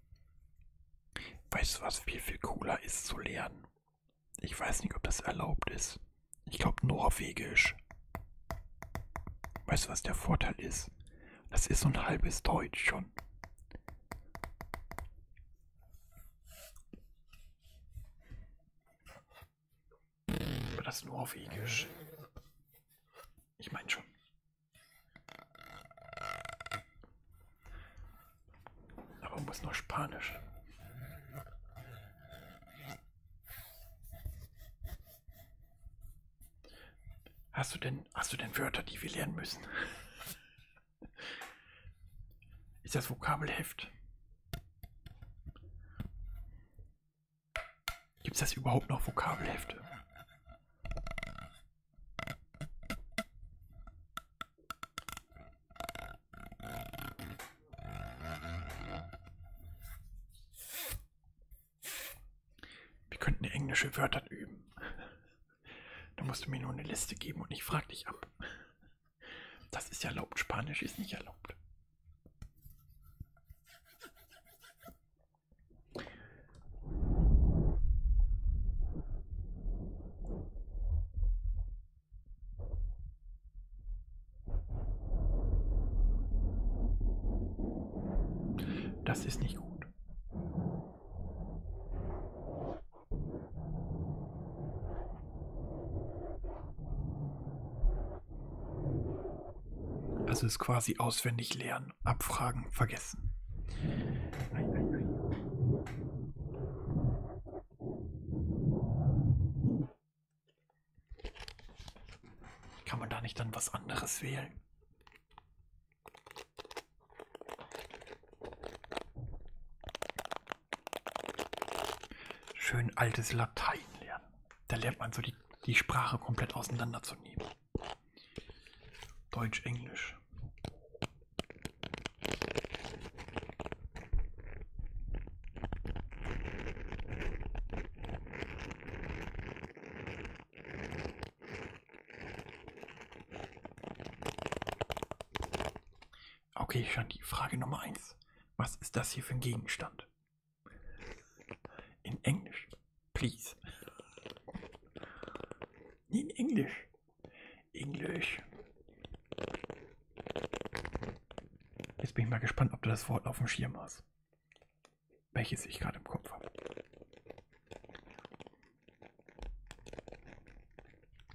Weißt du, was viel, viel cooler ist zu lernen? Ich weiß nicht, ob das erlaubt ist. Ich glaube Norwegisch. Weißt du, was der Vorteil ist? Das ist so ein halbes Deutsch schon. Das Norwegisch. Ich meine schon. Aber muss noch Spanisch. Hast du denn, hast du denn Wörter, die wir lernen müssen? Ist das Vokabelheft? Gibt es das überhaupt noch Vokabelhefte? Wir könnten englische Wörter üben. Da musst du mir nur eine Liste geben und ich frag dich ab. Das ist erlaubt, Spanisch ist nicht erlaubt. Das ist nicht gut. Also es quasi auswendig lernen. Daten abfragen vergessen. Kann man da nicht dann was anderes wählen? Schön altes Latein lernen. Da lernt man so die, die Sprache komplett auseinanderzunehmen. Deutsch, Englisch. Okay, Shanti, Frage Nummer 1. Was ist das hier für ein Gegenstand? In Englisch. Please. In English. English. Jetzt bin ich mal gespannt, ob du das Wort auf dem Schirm hast. Welches ich gerade im Kopf habe.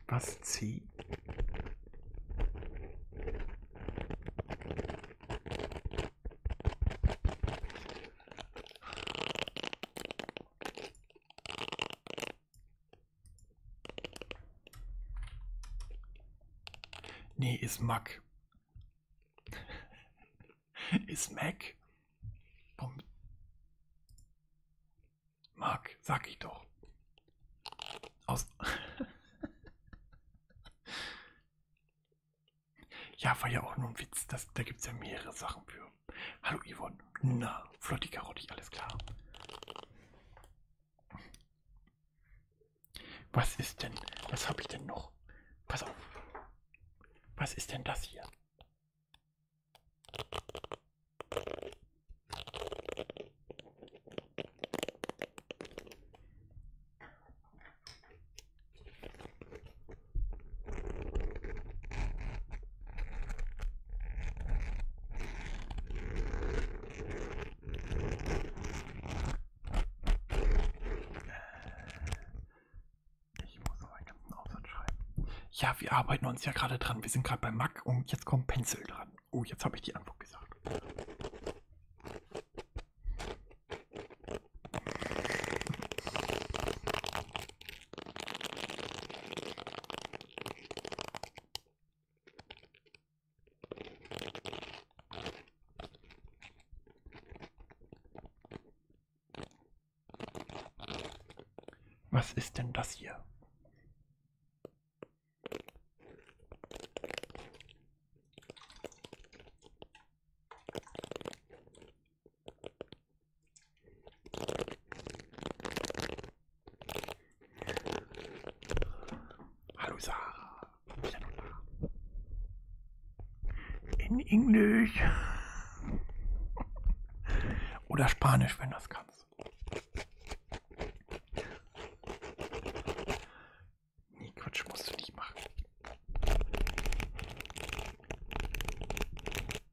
Was C? Nee, ist Mac. ist Mac. Mac, sag ich doch. Aus. Ja, war ja auch nur ein Witz. Das, da gibt es ja mehrere Sachen für. Hallo Yvonne. Na, flotti Karotti, alles klar. Was ist denn? Was habe ich denn noch? Pass auf. Was ist denn das hier? Ich muss noch einen ganzen Aufsatz schreiben. Ja, wir arbeiten uns ja gerade dran. Wir sind gerade bei Mac und jetzt kommt Pencil dran. Oh, jetzt habe ich die Antwort gesagt. Was ist denn das hier? Hallo Sarah. In Englisch. Oder Spanisch, wenn du das kannst. Nee, Quatsch, musst du nicht machen.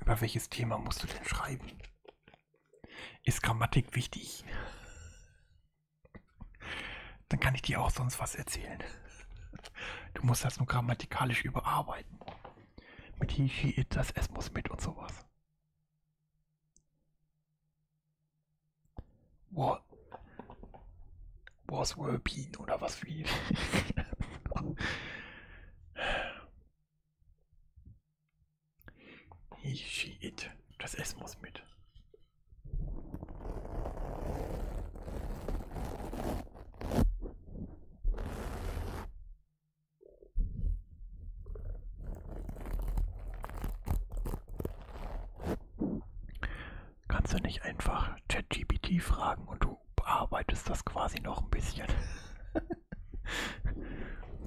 Über welches Thema musst du denn schreiben? Ist Grammatik wichtig? Dann kann ich dir auch sonst was erzählen. Du musst das nur grammatikalisch überarbeiten. Mit He, She, It, das Es muss mit und sowas. War, Wars Bean oder was wie. ich schied das S muss mit. Kannst du nicht einfach ChatGPT fragen und du bearbeitest das quasi noch ein bisschen?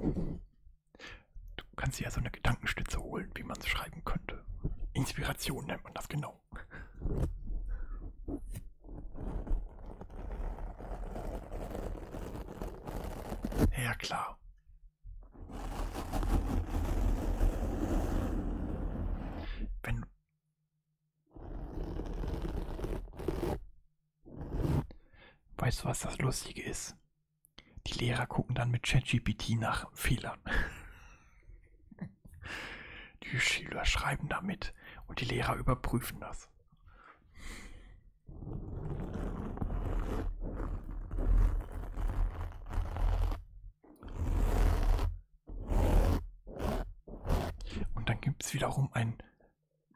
du kannst dir ja so eine Gedankenstütze holen, wie man es schreiben könnte. Inspiration nennt man das genau. Ja klar. Wenn Weißt du, was das Lustige ist? Die Lehrer gucken dann mit ChatGPT nach Fehlern. Die Schüler schreiben damit und die Lehrer überprüfen das. Und dann gibt es wiederum ein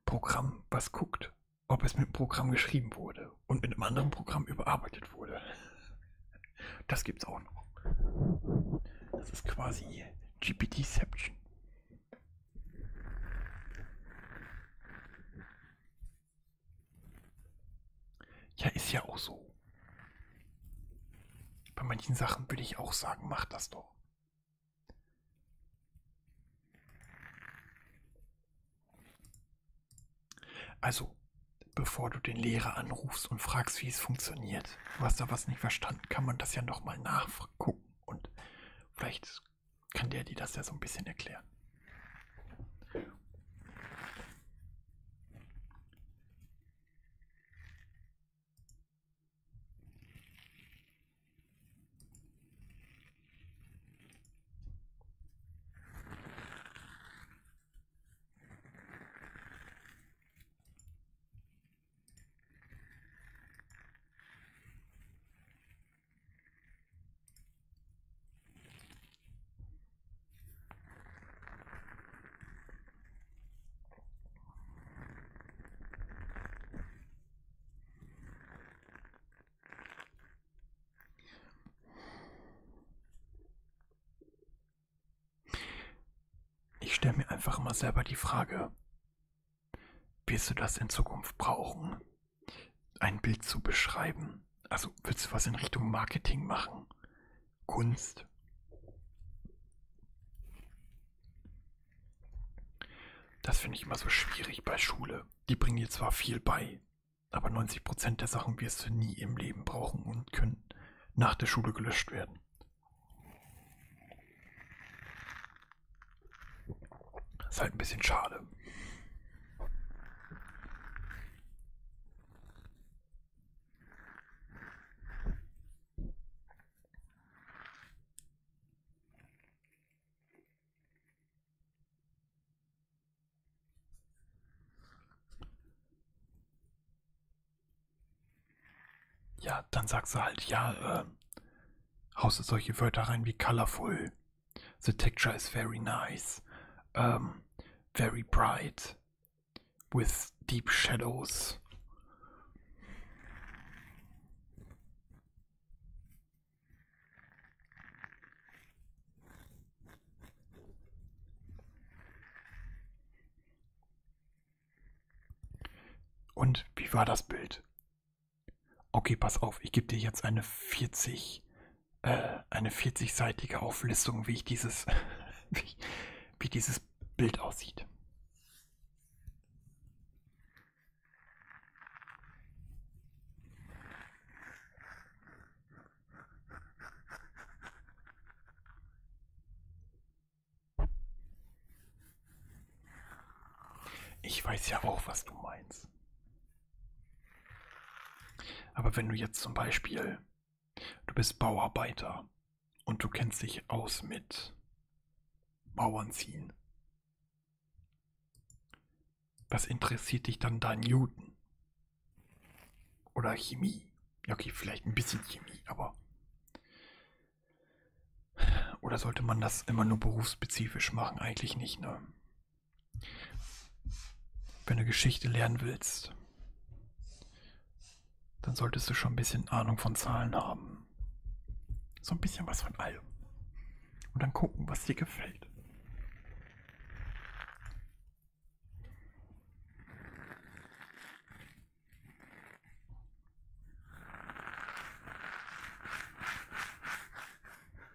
Programm, was guckt, ob es mit einem Programm geschrieben wurde und mit einem anderen Programm überarbeitet wurde. Das gibt's auch noch. Das ist quasi GPT-Ception. Ja, ist ja auch so. Bei manchen Sachen würde ich auch sagen, mach das doch. Also, bevor du den Lehrer anrufst und fragst, wie es funktioniert, du hast da was nicht verstanden, kann man das ja nochmal nachgucken und vielleicht kann der die das ja so ein bisschen erklären. Ich stelle mir einfach immer selber die Frage, wirst du das in Zukunft brauchen? ein Bild zu beschreiben? Also willst du was in Richtung Marketing machen? Kunst? Das finde ich immer so schwierig bei Schule. Die bringen dir zwar viel bei, aber 90% der Sachen wirst du nie im Leben brauchen und können nach der Schule gelöscht werden. Ist halt ein bisschen schade. Ja, dann sagst du halt, ja, äh, haust du solche Wörter rein wie colorful, The texture is very nice, um, very bright, with deep shadows. Und wie war das Bild? Okay, pass auf, ich gebe dir jetzt eine 40, äh, eine 40-seitige Auflistung, wie ich dieses, wie, wie dieses Bild aussieht. Ich weiß ja auch, was du meinst. Aber wenn du jetzt zum Beispiel, du bist Bauarbeiter und du kennst dich aus mit Mauern ziehen, was interessiert dich dann da Newton? Oder Chemie? Ja, okay, vielleicht ein bisschen Chemie, aber. Oder sollte man das immer nur berufsspezifisch machen? Eigentlich nicht, ne? Wenn du Geschichte lernen willst, dann solltest du schon ein bisschen Ahnung von Zahlen haben. So ein bisschen was von allem. Und dann gucken, was dir gefällt.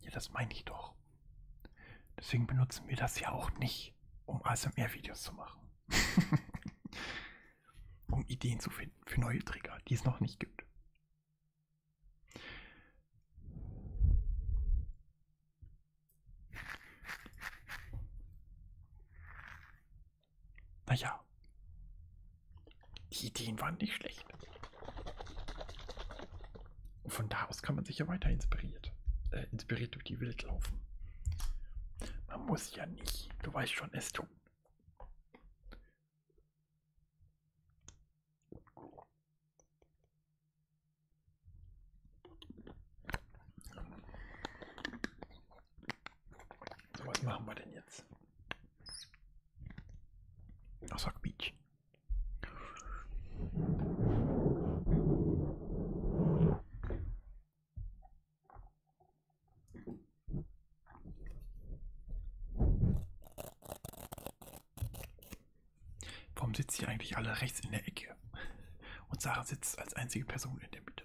Ja, das meine ich doch. Deswegen benutzen wir das ja auch nicht, um ASMR-Videos zu machen. um Ideen zu finden für neue Trigger, die es noch nicht gibt. Naja, die Ideen waren nicht schlecht. Und von da aus kann man sich ja weiter inspiriert, äh, inspiriert durch die Welt laufen. Man muss ja nicht, du weißt schon, es tun. So, was machen wir denn jetzt? Ach, sag Beach. Warum sitzen hier eigentlich alle rechts in der Ecke? Und Sarah sitzt als einzige Person in der Mitte.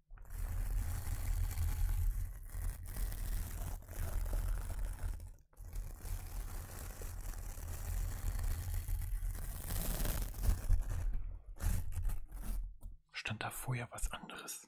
Stand da vorher was anderes?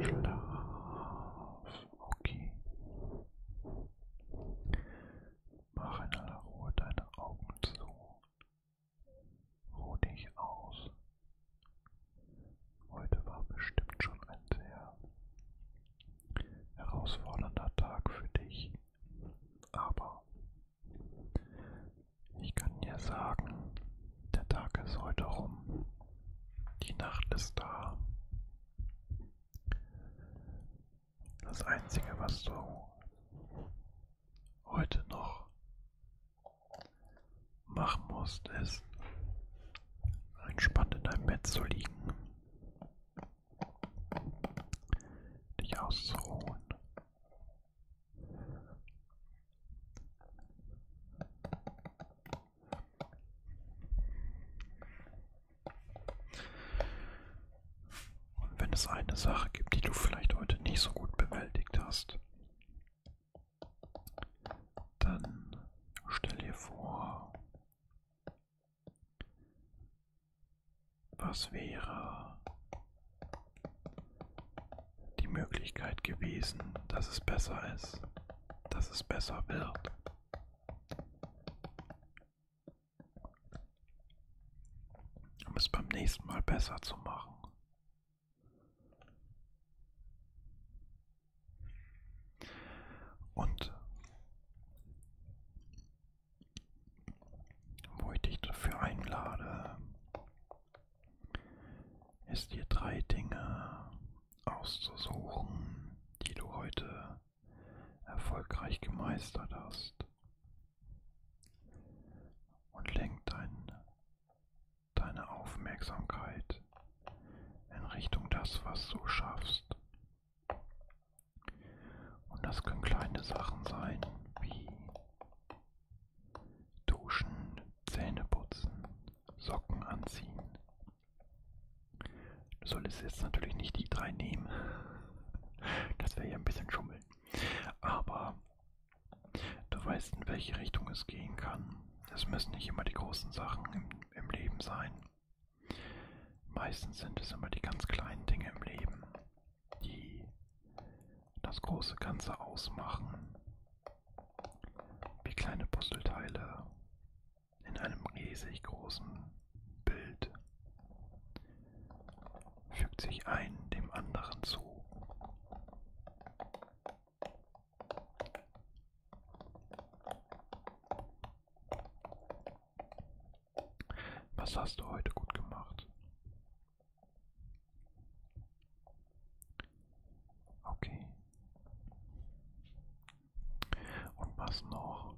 Schlaf, okay. Mach in aller Ruhe deine Augen zu Ruh dich aus. Heute war bestimmt schon ein sehr herausfordernder Tag für dich, aber ich kann dir sagen, der Tag ist heute rum, die Nacht ist da. Das Einzige, was du heute noch machen musst, ist entspannt in deinem Bett zu liegen, dich auszuruhen. Und wenn es eine Sache gibt, die du vielleicht heute nicht so gut bewältigt hast, dann stell dir vor, was wäre die Möglichkeit gewesen, dass es besser ist, dass es besser wird. Um es beim nächsten Mal besser zu machen. Und wo ich dich dafür einlade, ist dir drei Dinge auszusuchen, die du heute erfolgreich gemeistert hast. Und lenk deinen deine Aufmerksamkeit in Richtung das, was du schaffst. Und das können kleine Sachen sein wie duschen, Zähne putzen, Socken anziehen. Du solltest jetzt natürlich nicht die drei nehmen. Das wäre ja ein bisschen schummeln. Aber Du weißt, in welche Richtung es gehen kann. Es müssen nicht immer die großen Sachen im, im Leben sein. Meistens sind es immer die ganz kleinen Dinge im Leben, die das große Ganze ausmachen. Wie kleine Puzzleteile in einem riesig großen Bild fügt sich ein dem anderen zu. Was hast du heute gut gemacht? Okay. Und was noch?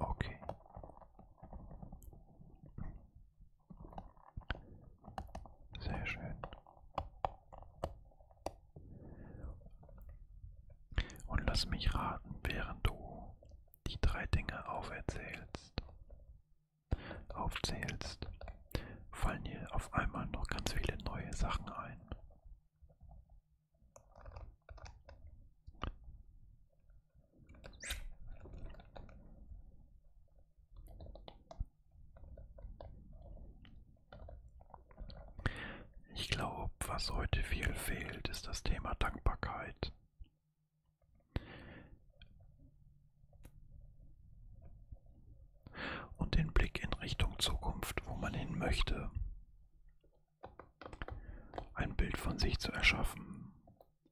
Okay. Sehr schön. Und lass mich raten, während du die drei Dinge auferzählst, aufzählst, fallen dir auf einmal noch ganz viele neue Sachen ein. Ich glaube, was heute viel fehlt, ist das Thema Dankbarkeit. Und den Blick in Richtung Zukunft, wo man hin möchte ein Bild von sich zu erschaffen,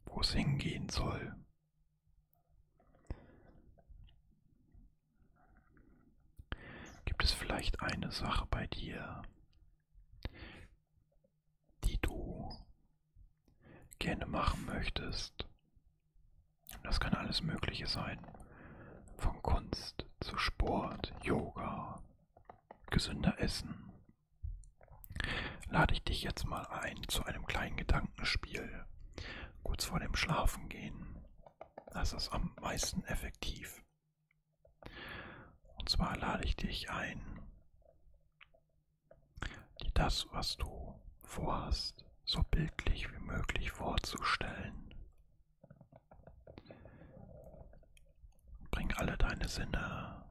wo es hingehen soll. Gibt es vielleicht eine Sache bei dir, die du gerne machen möchtest? Das kann alles Mögliche sein. Von Kunst zu Sport, Yoga, gesünder Essen, lade ich dich jetzt mal ein zu einem kleinen Gedankenspiel, kurz vor dem Schlafengehen. Das ist am meisten effektiv. Und zwar lade ich dich ein, dir das, was du vorhast, so bildlich wie möglich vorzustellen. Bring alle deine Sinne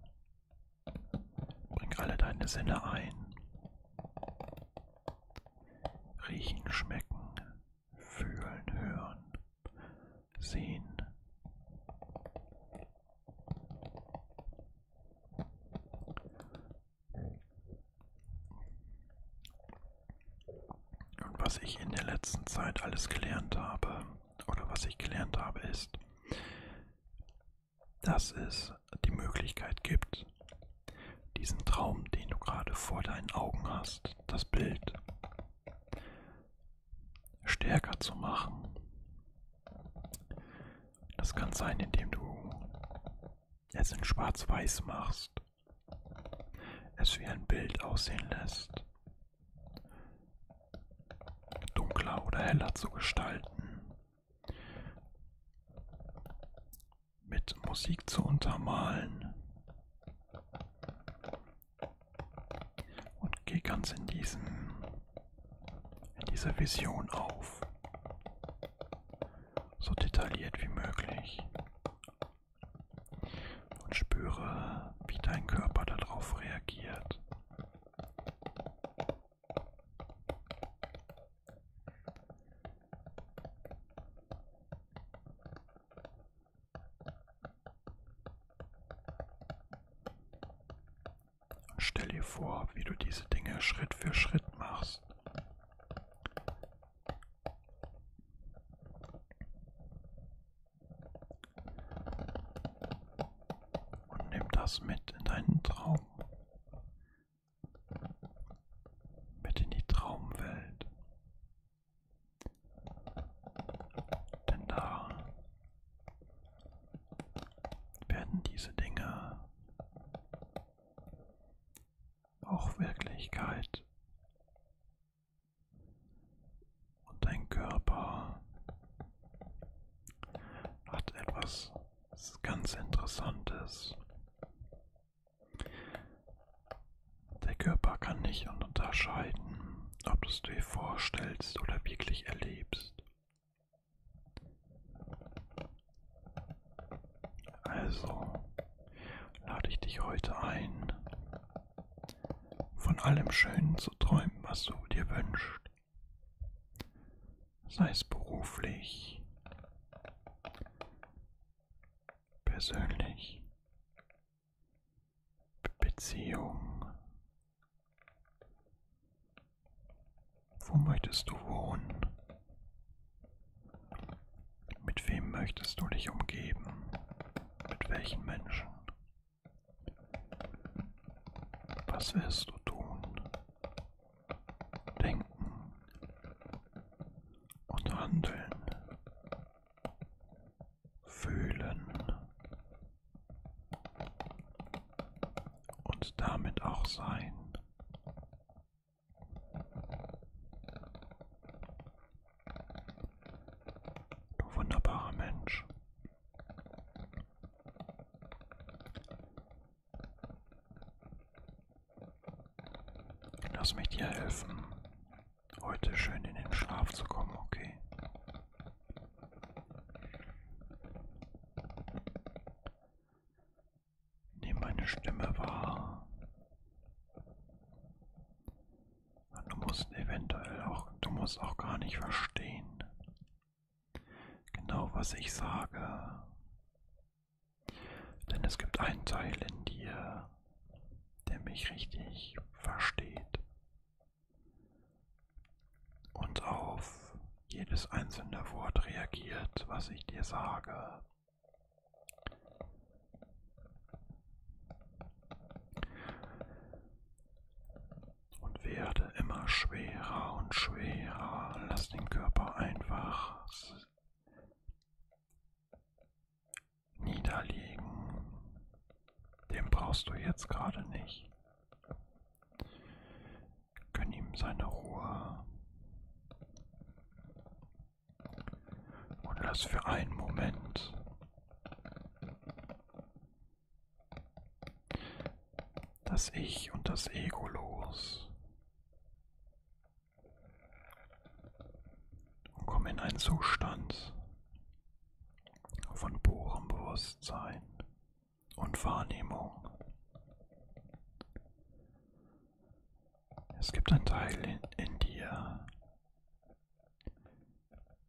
Bring alle deine Sinne ein. Riechen, schmecken, fühlen, hören, sehen. Und was ich in der letzten Zeit alles gelernt habe, oder was ich gelernt habe, ist, dass es die Möglichkeit gibt, diesen Traum, den du gerade vor deinen Augen hast, das Bild stärker zu machen. Das kann sein, indem du es in schwarz-weiß machst, es wie ein Bild aussehen lässt dunkler oder heller zu gestalten, mit Musik zu untermalen und gehe ganz in diesen in dieser Vision auf, so detailliert wie möglich und spüre, wie dein Körper darauf reagiert. Stell dir vor, wie du diese Dinge Schritt für Schritt machst. Und nimm das mit in deinen Traum. Mit in die Traumwelt. Denn da werden diese Dinge auch Wirklichkeit und dein Körper hat etwas ganz Interessantes. Der Körper kann nicht unterscheiden, ob du es dir vorstellst oder wirklich erlebst. Also lade ich dich heute ein, von allem Schönen zu träumen, was du dir wünschst sei es beruflich, persönlich, Beziehung. Wo möchtest du wohnen? Mit wem möchtest du dich umgeben? Mit welchen Menschen? Was wirst du tun? Denken und handeln. Fühlen und damit auch sein. Du wunderbarer Mensch, Lass mich dir helfen, heute schön in den Schlaf zu kommen, okay? Nimm meine Stimme wahr. Und du musst eventuell auch, du musst auch gar nicht verstehen, genau, was ich sage. Denn es gibt einen Teil in dir, der mich richtig versteht und auf jedes einzelne Wort reagiert, was ich dir sage und werde immer schwerer und schwerer. Lass den Körper einfach niederliegen. Den brauchst du jetzt gerade nicht. Gönn ihm seine Ruhe. Und lass für einen Moment das Ich und das Ego los. Und komme in einen Zustand von purem Bewusstsein und Wahrnehmung. Es gibt einen Teil in, in dir,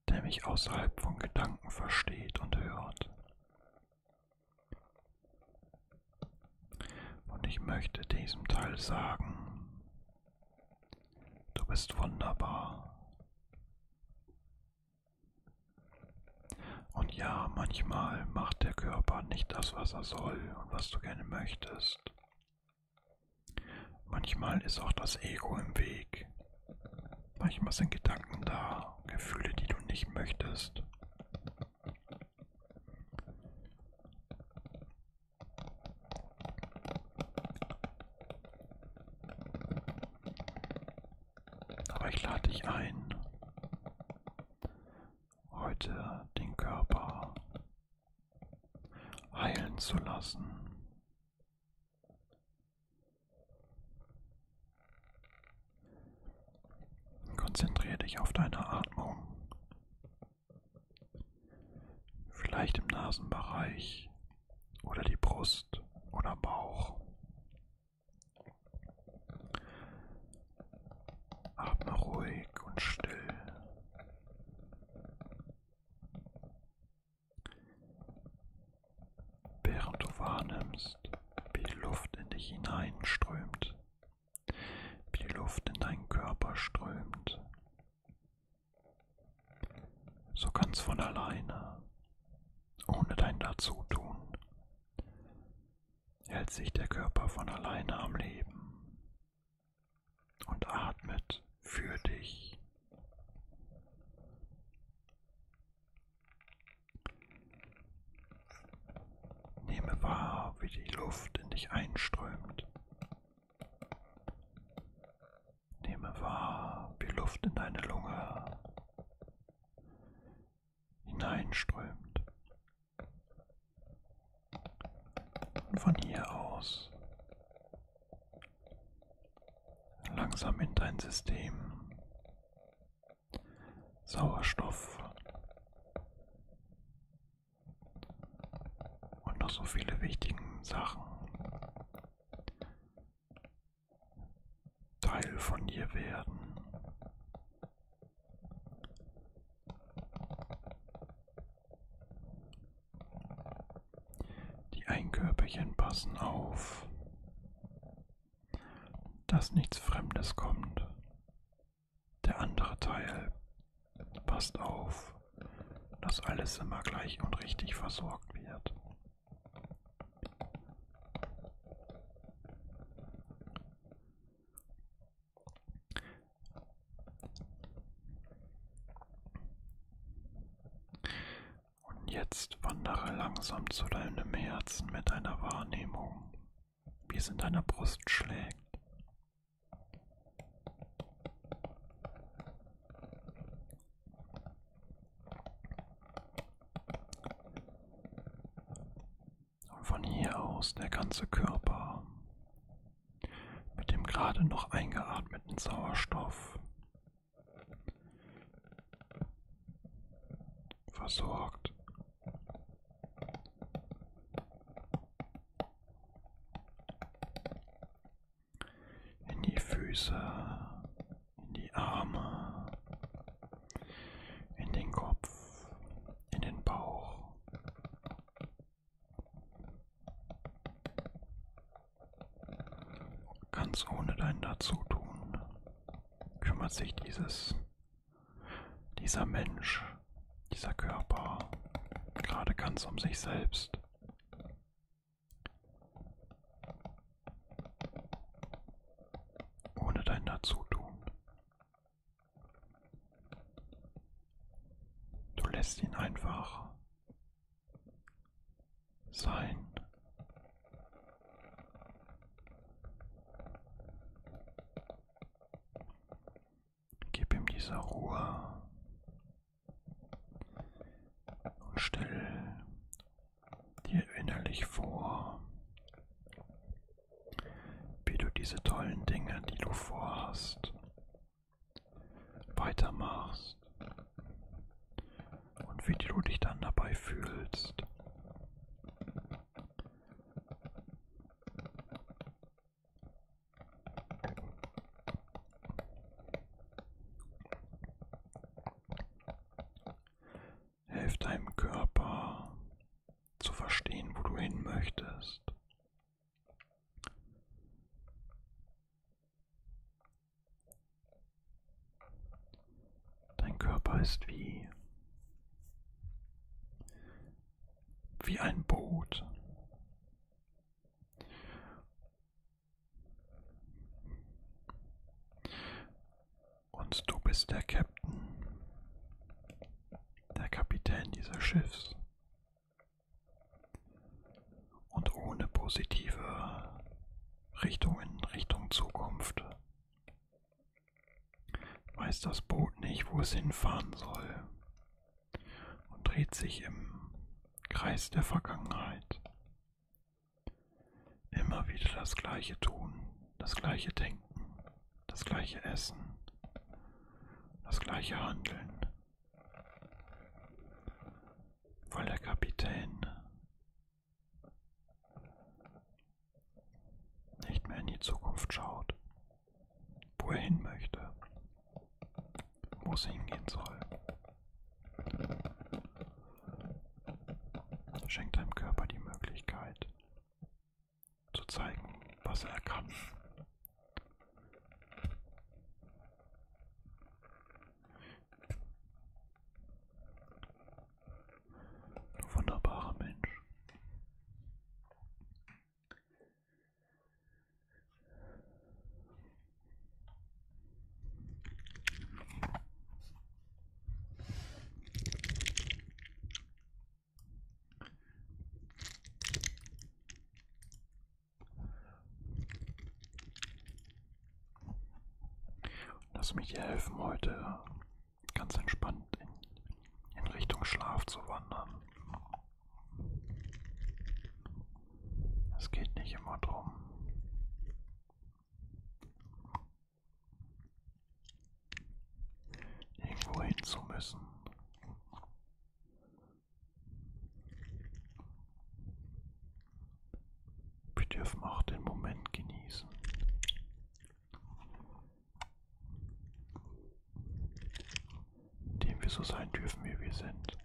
der mich außerhalb von Gedanken versteht und hört. Und ich möchte diesem Teil sagen, du bist wunderbar. Und ja, manchmal macht der Körper nicht das, was er soll und was du gerne möchtest. Manchmal ist auch das Ego im Weg. Manchmal sind Gedanken da, Gefühle, die du nicht möchtest. Aber ich lade dich ein, heute den Körper heilen zu lassen. Konzentriere dich auf deine Atmung. Vielleicht im Nasenbereich oder die Brust oder Bauch. Atme ruhig und still während du wahrnimmst, wie die Luft in dich hineinströmt, wie die Luft in deinen Körper strömt. So ganz von alleine, ohne dein Dazutun, hält sich der Körper von alleine am Leben und atmet für dich. Nehme wahr, wie die Luft in dich einströmt. Nehme wahr, wie Luft in deine Lunge hineinströmt. Und von hier aus langsam in dein System Sauerstoff und noch so viele wichtigen Sachen Teil von dir werden. Die Einkörperchen passen auf dass nichts Fremdes kommt. Der andere Teil passt auf, dass alles immer gleich und richtig versorgt wird. Und jetzt wandere langsam zu deinem Herzen mit einer Wahrnehmung, wie es in deiner Brust schlägt. Und von hier aus der ganze Körper mit dem gerade noch eingeatmeten Sauerstoff versorgt. In die Füße, in die Arme, in den Kopf, in den Bauch. Ganz ohne dein Dazutun kümmert sich dieses, dieser Mensch, dieser Körper gerade ganz um sich selbst. Ohne dein Dazutun. Du lässt ihn einfach sein Gib ihm diese Ruhe und stell dir innerlich vor, wie du diese tollen Dinge, die du vorhast, weitermachst und wie du dich dann dabei fühlst. Helf deinem Körper zu verstehen, wo du hin möchtest. Dein Körper ist wie wie ein Boot. Und du bist der Captain, der Kapitän dieses Schiffs. Und ohne positive Richtung in Richtung Zukunft weiß das Boot nicht, wo es hinfahren soll und dreht sich im Kreis der Vergangenheit. Immer wieder das gleiche tun, das gleiche denken, das gleiche essen, das gleiche handeln. Weil der Kapitän nicht mehr in die Zukunft schaut, wo er hin möchte, wo es hingehen soll. Schenkt deinem Körper die Möglichkeit zu zeigen, was er kann. Du wunderbarer Mensch. Lass mich dir helfen heute ganz entspannt in, in Richtung Schlaf zu wandern. Es geht nicht immer drum. Irgendwo hin zu müssen. Wir dürfen auch den Moment genießen. Dem wir so sein dürfen, wie wir sind.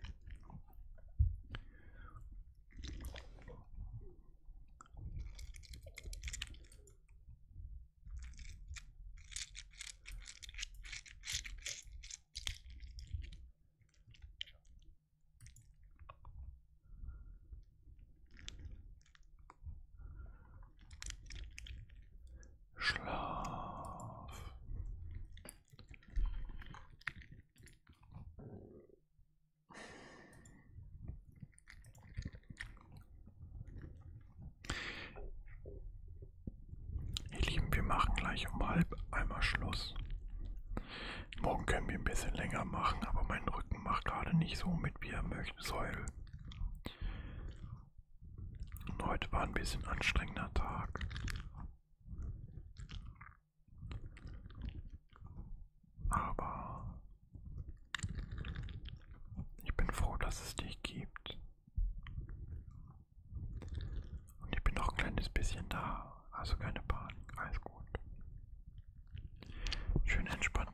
Schlaf. Ihr Lieben, wir machen gleich um halb einmal Schluss. Morgen können wir ein bisschen länger machen, aber mein Rücken macht gerade nicht so mit, wie er möchte, soll. Und heute war ein bisschen anstrengender Tag. Aber ich bin froh, dass es dich gibt. Und ich bin noch ein kleines bisschen da. Also keine Panik, alles gut. Schön entspannen.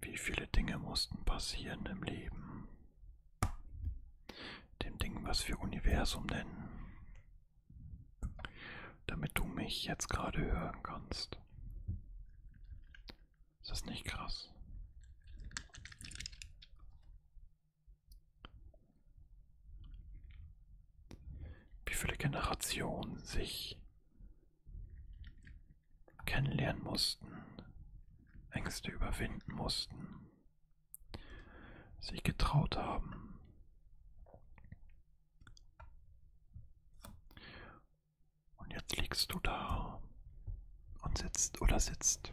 Wie viele Dinge mussten passieren im Leben? Dem Ding, was wir Universum nennen. Damit du mich jetzt gerade hören kannst. Ist das nicht krass? wie viele Generationen sich kennenlernen mussten, Ängste überwinden mussten, sich getraut haben. Und jetzt liegst du da und sitzt oder sitzt.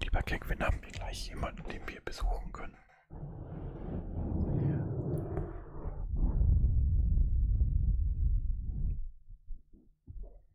Lieber Kekvin, haben wir gleich jemanden, den wir besuchen können?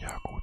Ja, gut.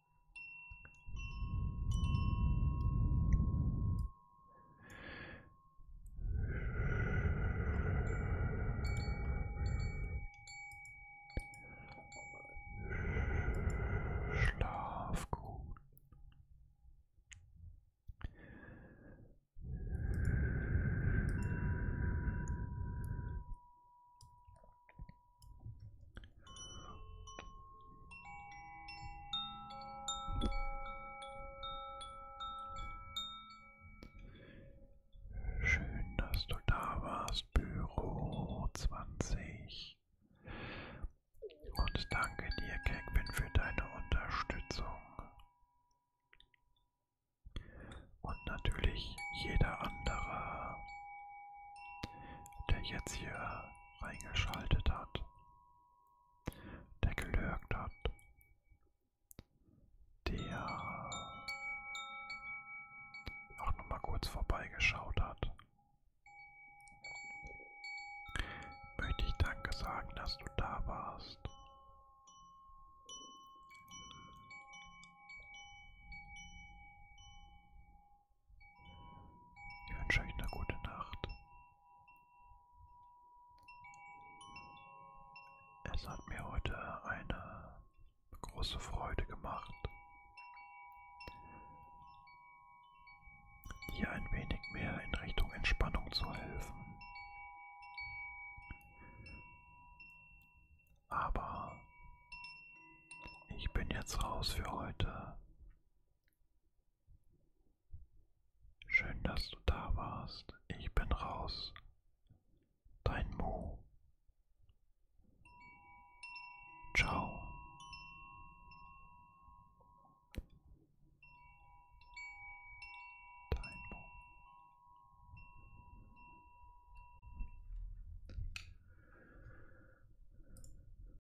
Schlaf gut. Schön, dass du da warst, Büro 20. Und danke dir, Kekbin, für deine Unterstützung. Und natürlich jeder andere, der jetzt hier reingeschaltet hat der gelögt hat, der auch noch mal kurz vorbeigeschaut hat, möchte ich Danke sagen, dass du da warst. Ich wünsche euch eine gute Nacht. Es hat mir heute eine große Freude gemacht, dir ein wenig mehr in Richtung Entspannung zu helfen. Aber ich bin jetzt raus für heute. Schön, dass du da warst. Ich bin raus. Dein Mo. Ciao. Dein Mo.